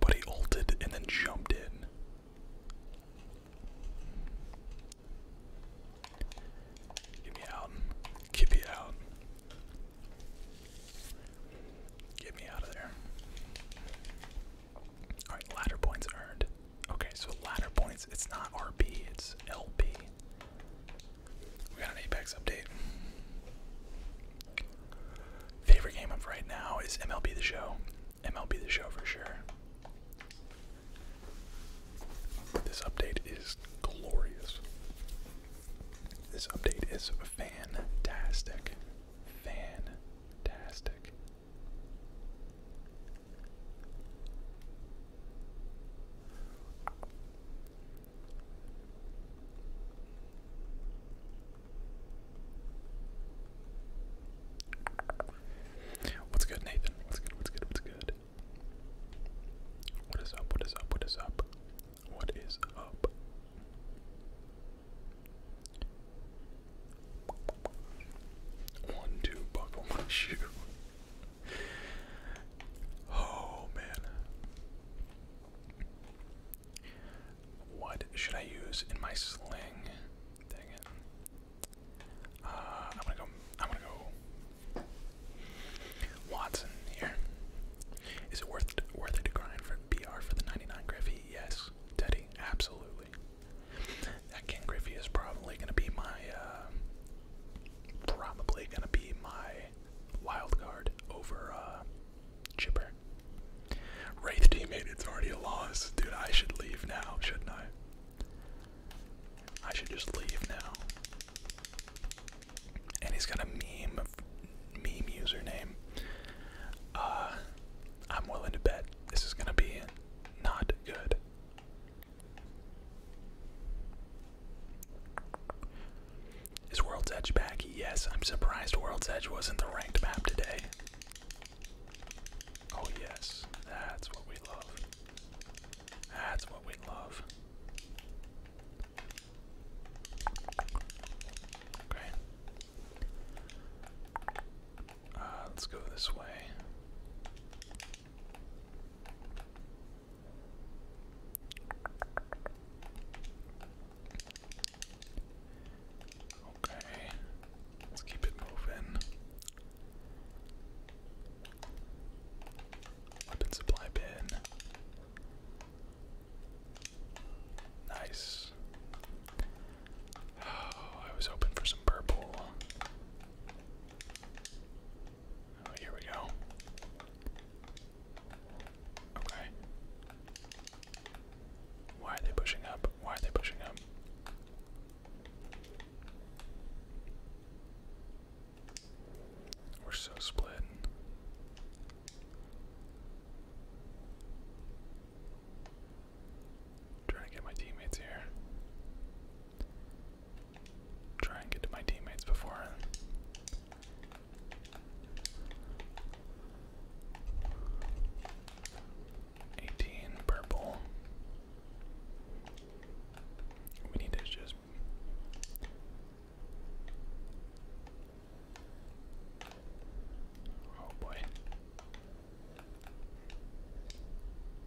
but he ulted and then jumped in. Get me out. Get me out. Get me out of there. All right, ladder points earned. Okay, so ladder points. It's not RB. It's LB. We got an Apex update. Favorite game of right now is MLB The Show. MLB The Show for sure. This update is glorious. This update is fantastic. Fantastic. What's good, Nathan? What's good? What's good? What's good? What is up? What is up? What is up? What is up? One, two, buckle my shoe. Oh man. What should I use in my sling? Dang it. Uh, I'm gonna go. I'm gonna go. Watson here. Is it worth worth it to grind for BR for the 99 griffy? Yes, Teddy, absolutely. That King is probably gonna be my uh, probably gonna be my wild card over uh, Wraith teammate, it's already a loss, dude. I should leave now, shouldn't I? I should just leave now. And he's got a meme, meme username. Uh, I'm willing to bet this is going to be not good. Is World's Edge back? Yes, I'm surprised World's Edge wasn't the ranked map today. Oh, yes, that's what we love. That's what we love. Okay. Uh, let's go this way. Okay, let's keep it moving. Weapon supply bin. Nice. Oh, I was hoping for some purple. Oh, here we go. Okay. Why are they pushing up? Why are they pushing up? We're so split. I'm trying to get my teammates here. Try and get to my teammates before. Eighteen purple. We need to just. Oh boy.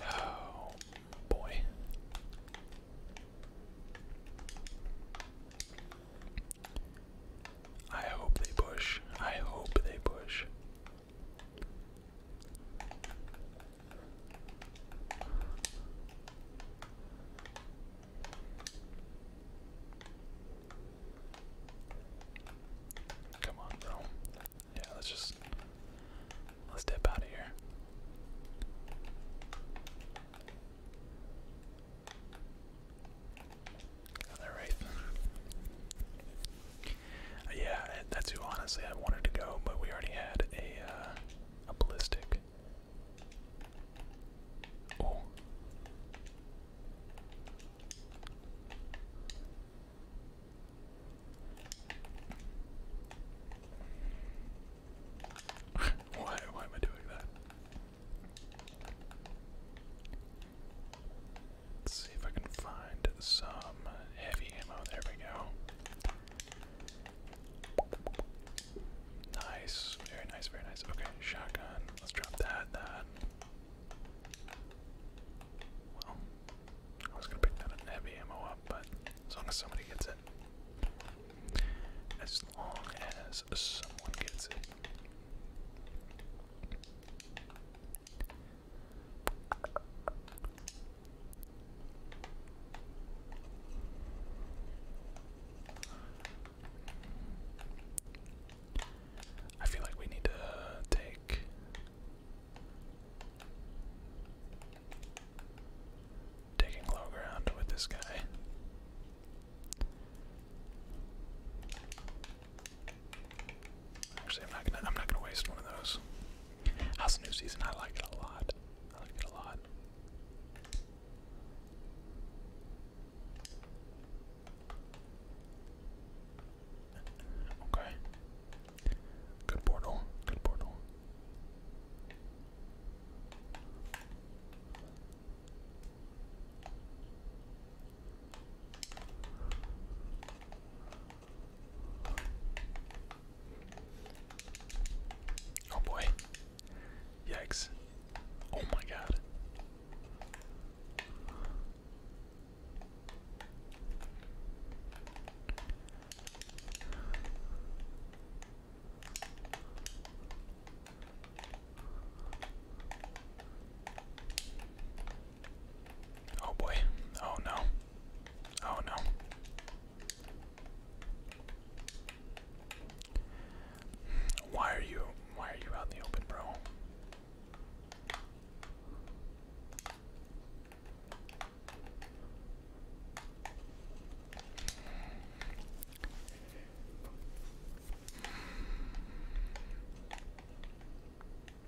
Oh boy. I hope they push. I hope they push. Come on, bro. Yeah, let's just let's dip out of here. Another yeah, that's who honestly I wanted to go, but we already had a uh, a ballistic why, why am I doing that? Let's see if I can find some heavy ammo. There we go. Nice. Very nice, very nice. Okay, shotgun. Let's drop that, that. Well, I was gonna pick that heavy ammo up, but as long as somebody gets it. As long as someone gets it. I feel like we need to take Taking low ground with this guy. Actually, I'm not gonna. I'm not gonna waste one of those. How's the new season? I like it a lot. I like it a lot. Okay. Good portal. Good portal. Oh boy. Yikes. Oh my god. Oh boy. Oh no. Oh no. Why are you why are you out in the open, bro?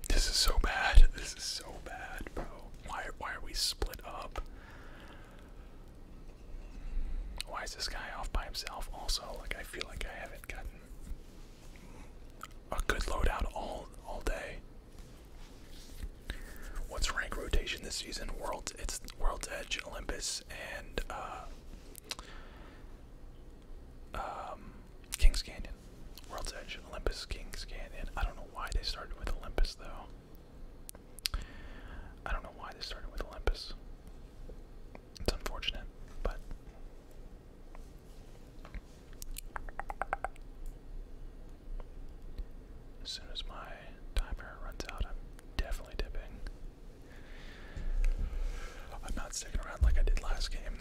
This is so bad. This is so bad, bro. Why why are we split up? Why is this guy off by himself also? Like I feel like I haven't gotten a good loadout all all day. What's rank rotation this season? World's it's World's Edge, Olympus, and uh, um, Kings Canyon. World's Edge, Olympus, Kings Canyon. I don't know why they started with Olympus though. I don't know why they started with Olympus. It's unfortunate, but. As soon as my timer runs out, I'm definitely dipping. I'm not sticking around like I did last game.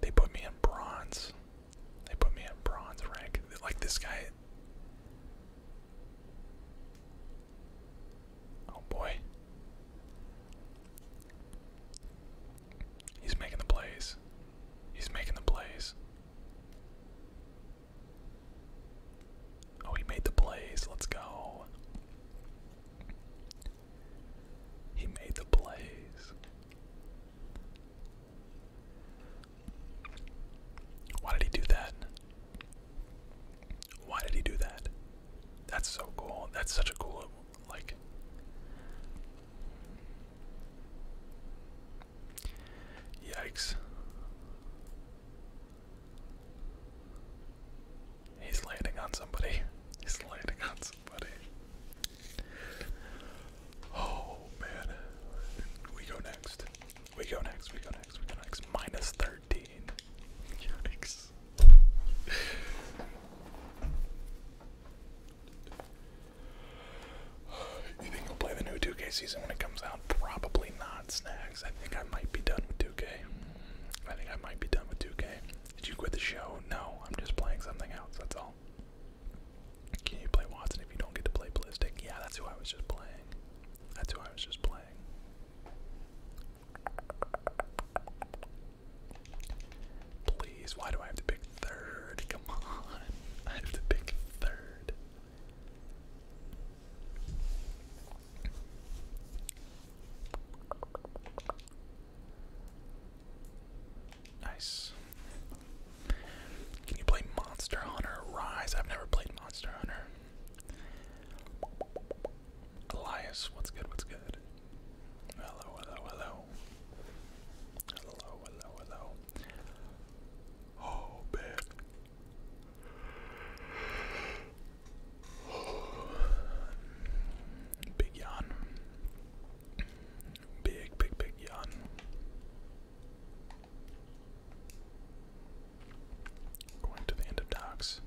They put me in bronze. They put me in bronze rank. Like this guy. Oh boy. He's making the plays. He's making the plays. Oh, he made the plays. Let's go. He made the plays. Why did he do that? Why did he do that? That's so cool. That's such a cool like Yikes. He's landing on somebody. He's landing on somebody. Oh man. We go next. We go next. We go next. We go next. Minus 13. Yikes. You think you'll play the new 2K season when it comes out? Probably not, Snags. I think I might be done with 2K. I think I might be done with 2K. Did you quit the show? No, I'm just playing something else, that's all. Can you play Watson if you don't get to play Ballistic? Yeah, that's who I was just playing. That's who I was just playing. Please, why do I have to pick third? Come on. I have to pick third. Nice. Can you play Monster Hunter Rise? I've never played Monster Hunter. Elias, what's good? What's good? Hello, hello, hello. Hello, hello, hello. Oh, man. Big yawn. Big, big, big yawn. Going to the end of docks.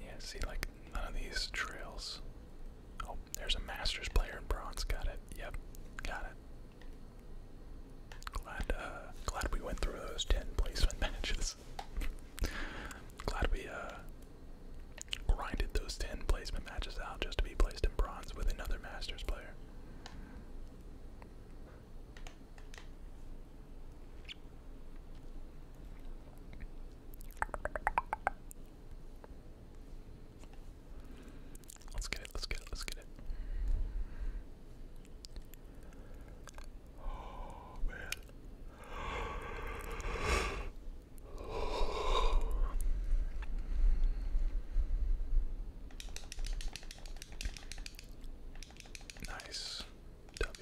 Yeah, see, like, none of these trails. Oh, there's a Masters player in bronze. Got it. Yep, got it. Glad, uh, glad we went through those 10 placement matches. glad we, uh, grinded those 10 placement matches out just to be placed in bronze with another Masters player. Let's get it, let's get it, let's get it. Oh man. Nice W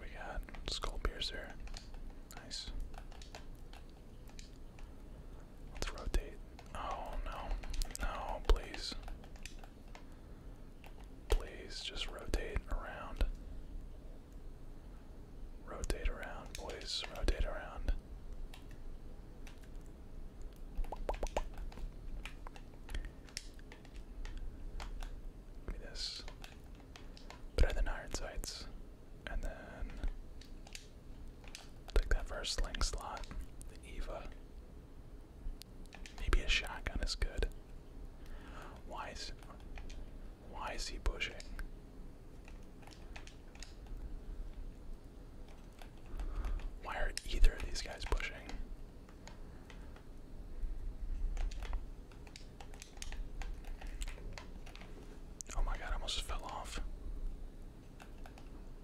we got? Skull piercer. Nice. Let's rotate. Oh no. No, please. Please just rotate around. Rotate around, please. Rotate around. Give me this. Better than iron sights. And then take that first sling slot. The Eva. Maybe a shotgun is good. Why is why is he pushing? Why are either of these guys pushing? Oh my god, I almost fell off.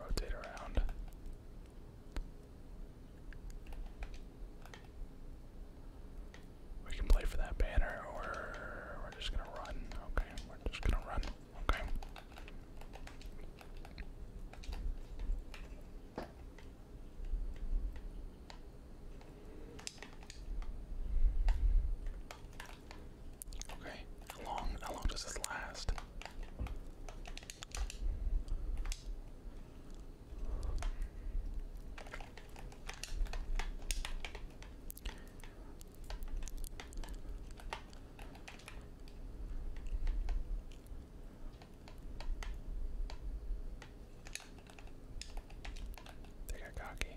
Rotate around. We can play for that banner or we're just gonna run. Okay, we're just gonna run. Okay. Okay, how long how long does this last? They got cocky.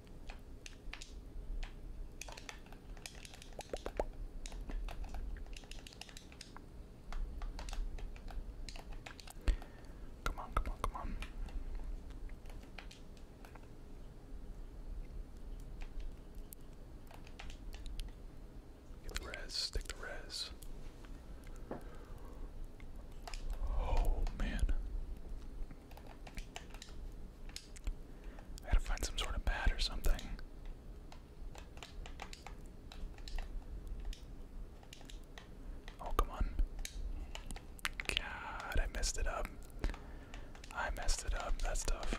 Come on, come on, come on. Get the res, stick the rez. Oh man. I gotta find some sort of pad or something. Oh, come on. God, I messed it up. I messed it up. That's tough.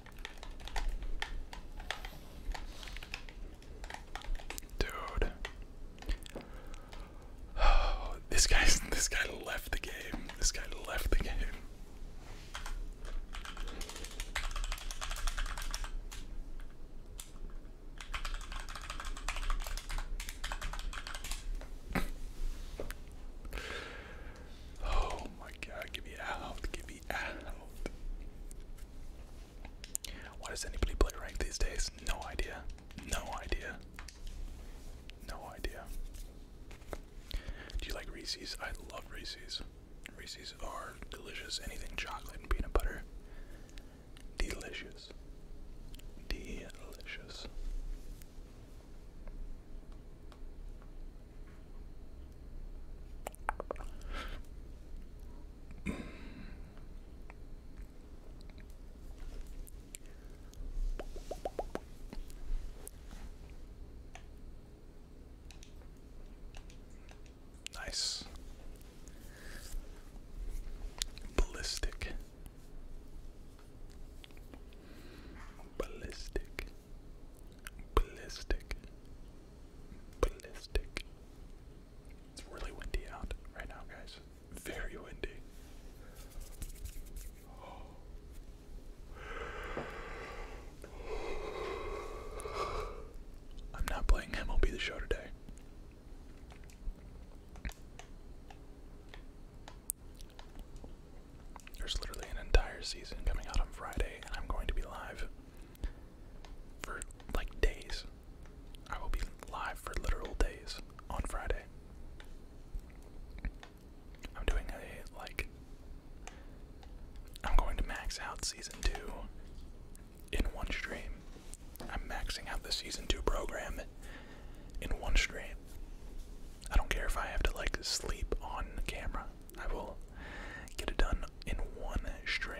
Dude. this guy's this guy left the game. This guy left the game. Oh my god, give me out, give me be Why does anybody play rank these days? No idea. No idea. No idea. Do you like Reese's? I love Reese's. Reese's are delicious. Anything chocolate and peanut butter. Delicious. Delicious nice ballistic ballistic Ballistic. Ballistic. It's really windy out right now, guys. Very windy. I'm not playing MLB the show today. There's literally an entire season coming out on Friday, and I'm going to be live for like days. I will be live for literal days on Friday. I'm doing a like I'm going to max out season 2 in one stream. I'm maxing out the season 2 program in one stream. I don't care if I have to like sleep on camera. I will get it done in one stream.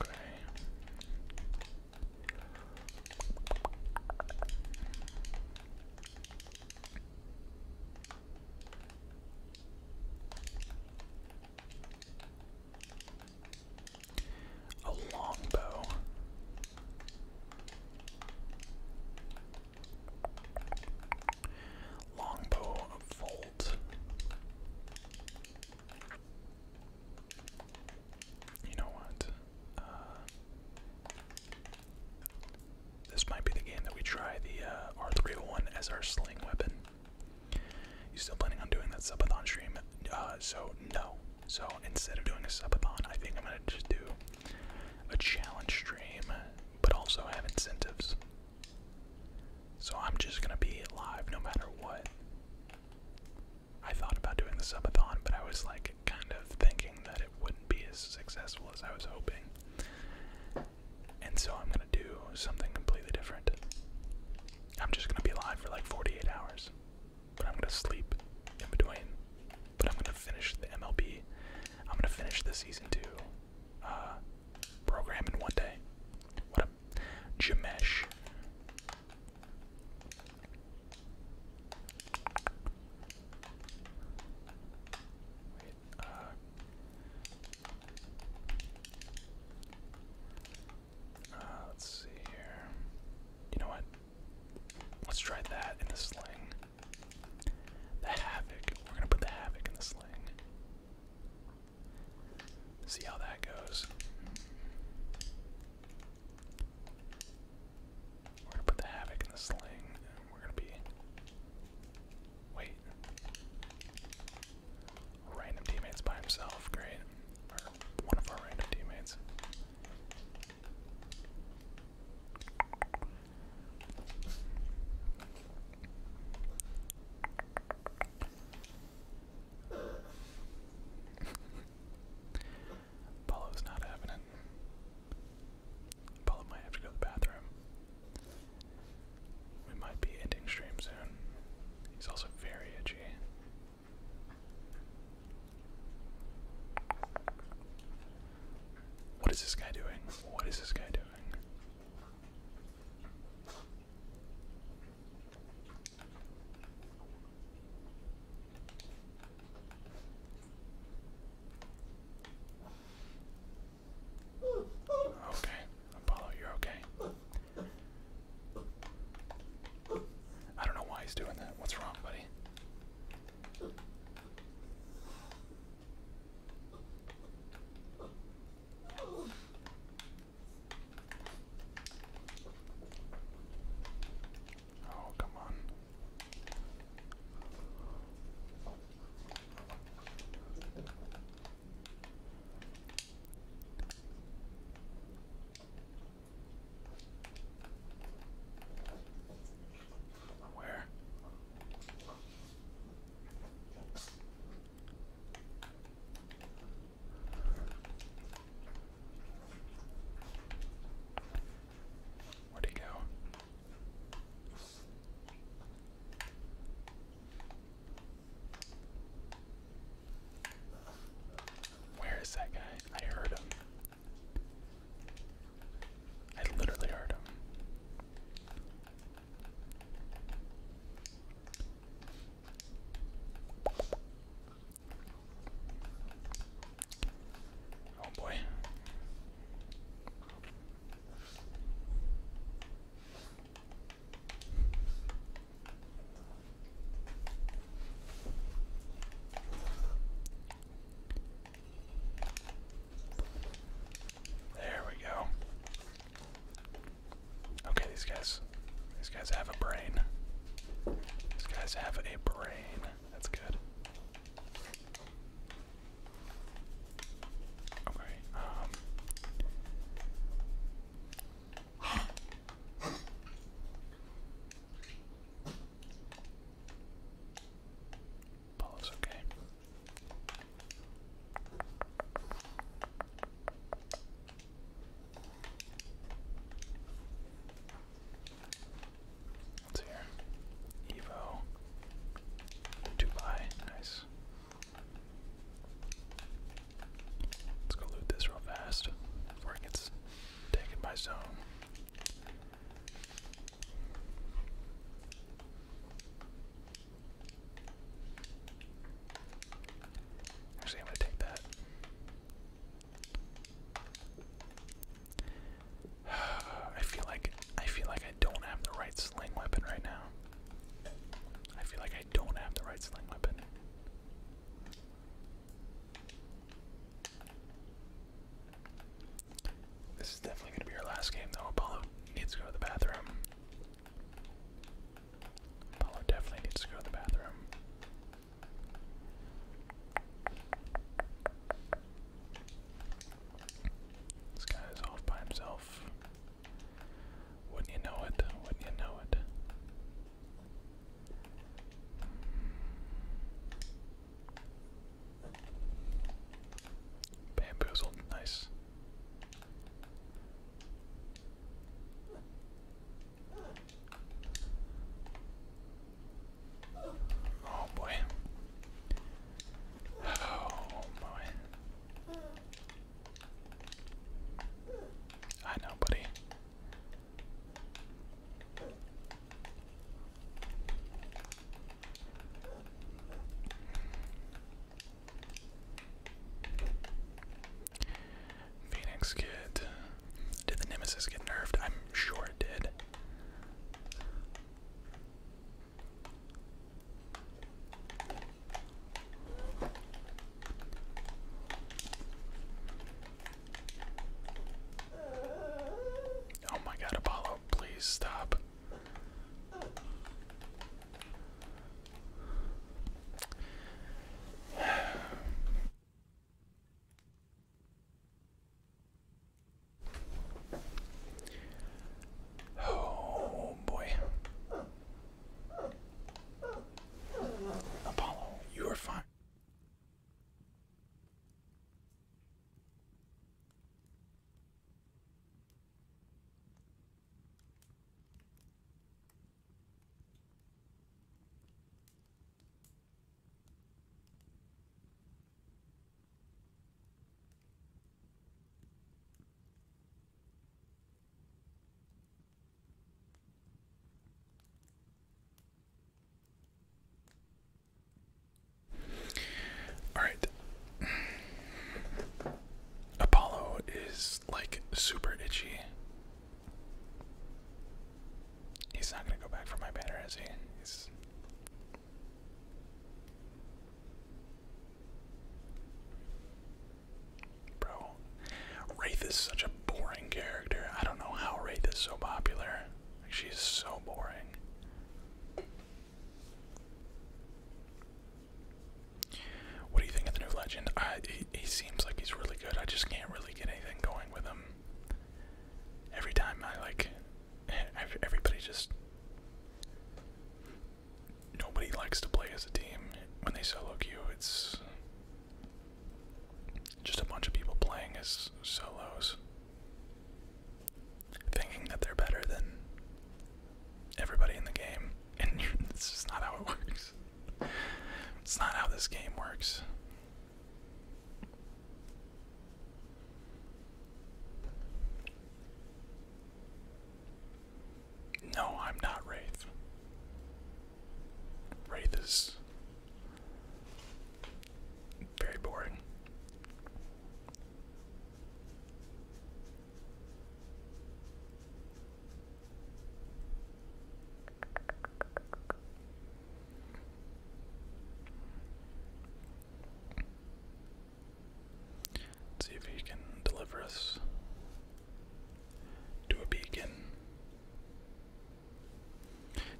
Okay a longbow. Longbow volt. You know what? Uh, this might be the game that we try the uh, R301 as our sling weapon. You still planning on doing that subathon stream? Uh, so no. So instead of doing a subathon, I think I'm gonna just do a challenge stream, but also have incentives. So I'm just gonna be live no matter what. I thought about doing the subathon, but I was like kind of thinking that it wouldn't be as successful as I was hoping. And so I'm gonna do something completely different. I'm just gonna be alive for like 48 hours, but I'm gonna sleep in between. But I'm gonna finish the MLB. I'm gonna finish the season two uh, program in one day. What a Jamesh. Uh, uh, let's see here. You know what? Let's try that in the sling. The havoc. We're gonna put the havoc in the sling. See how that goes. We're gonna put the havoc in the sling, and we're gonna be. Wait. Random teammates by himself, great. one of our random teammates. Paulo's not having it. Paulo might have to go to the bathroom. We might be ending stream soon. He's also very itchy. What is this guy doing? What is this guy doing? Okay, Apollo, you're okay. I don't know why he's doing that. What's wrong, buddy? Oh, come on. Where? Where'd he go? Where is that guy? I heard him. I literally heard him. Oh boy. There we go. Okay, these guys these guys have a brain. These guys have a brain. That's good. Okay, um, Paul okay. What's here? Evo. Dubai, nice. Let's go loot this real fast before it gets taken by zone. Actually, I'm gonna take that. I feel like I feel like I don't have the right sling weapon right now. I feel like I don't have the right sling weapon. This is definitely going to be our last game, though. Apollo needs to go to the bathroom. Apollo definitely needs to go to the bathroom. This guy is off by himself. Wouldn't you know it? Wouldn't you know it? Bamboozled, nice. Oh boy. Oh boy. I know, buddy. Phoenix Kid. Did the Nemesis get nerfed? I'm sure it did. Oh my god, Apollo, please stop. Oh boy. Apollo, you are fine. All right. Apollo is like super itchy. He's not going to go back for my banner, is he? Bro, Wraith is such a boring character. I don't know how Wraith is so popular. she's so boring. What do you think of the new legend? I, he, seems like he's really good. I just can't really get anything going with him. Every time I like, everybody just. Nobody likes to play as a team when they solo queue. It's just a bunch of people playing as solos, thinking that they're better than everybody in the game, and it's just not how it works. It's not how this game works. No, I'm not Wraith. Wraith is very boring. Let's see if he can deliver us to a beacon.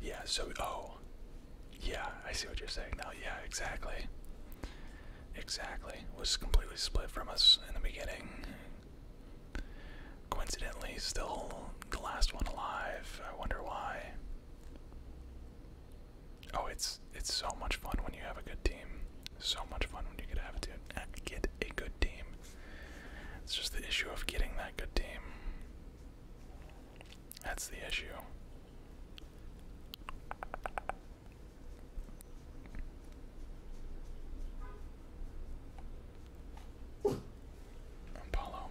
Yeah, so, oh. Yeah, I see what you're saying now. Yeah, exactly. Exactly. Was completely split from us in the beginning. Coincidentally, still the last one alive. I wonder why. Oh, it's it's so much fun when you have a good team. So much fun when you get have to get a good team. It's just the issue of getting that good team. That's the issue. Apollo.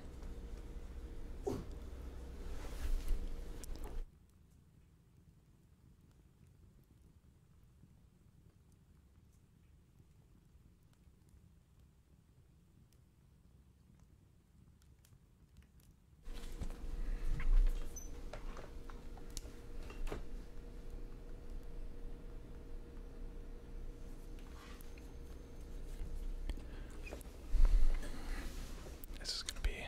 This is going to be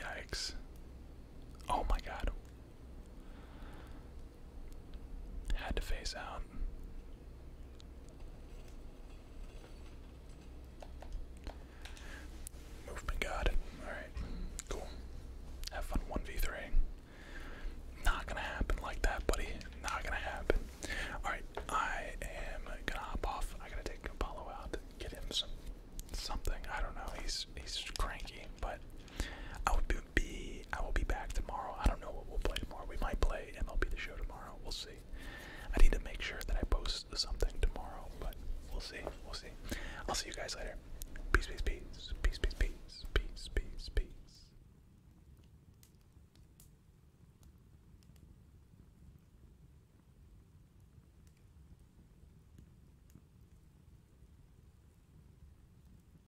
yikes. Oh my god. Had to face out. Movement got Alright, cool. Have fun 1v3. Not gonna happen like that, buddy. Not gonna happen. Alright, I am gonna hop off. I gotta take Apollo out, get him some something. I don't know. He's he's cranky, but I would be I will be back tomorrow. I don't know what we'll play tomorrow. We might play MLB the Show tomorrow. We'll see. I need to make sure that I post something tomorrow, but we'll see. We'll see. I'll see you guys later. Peace, peace, peace, peace, peace, peace, peace, peace, peace.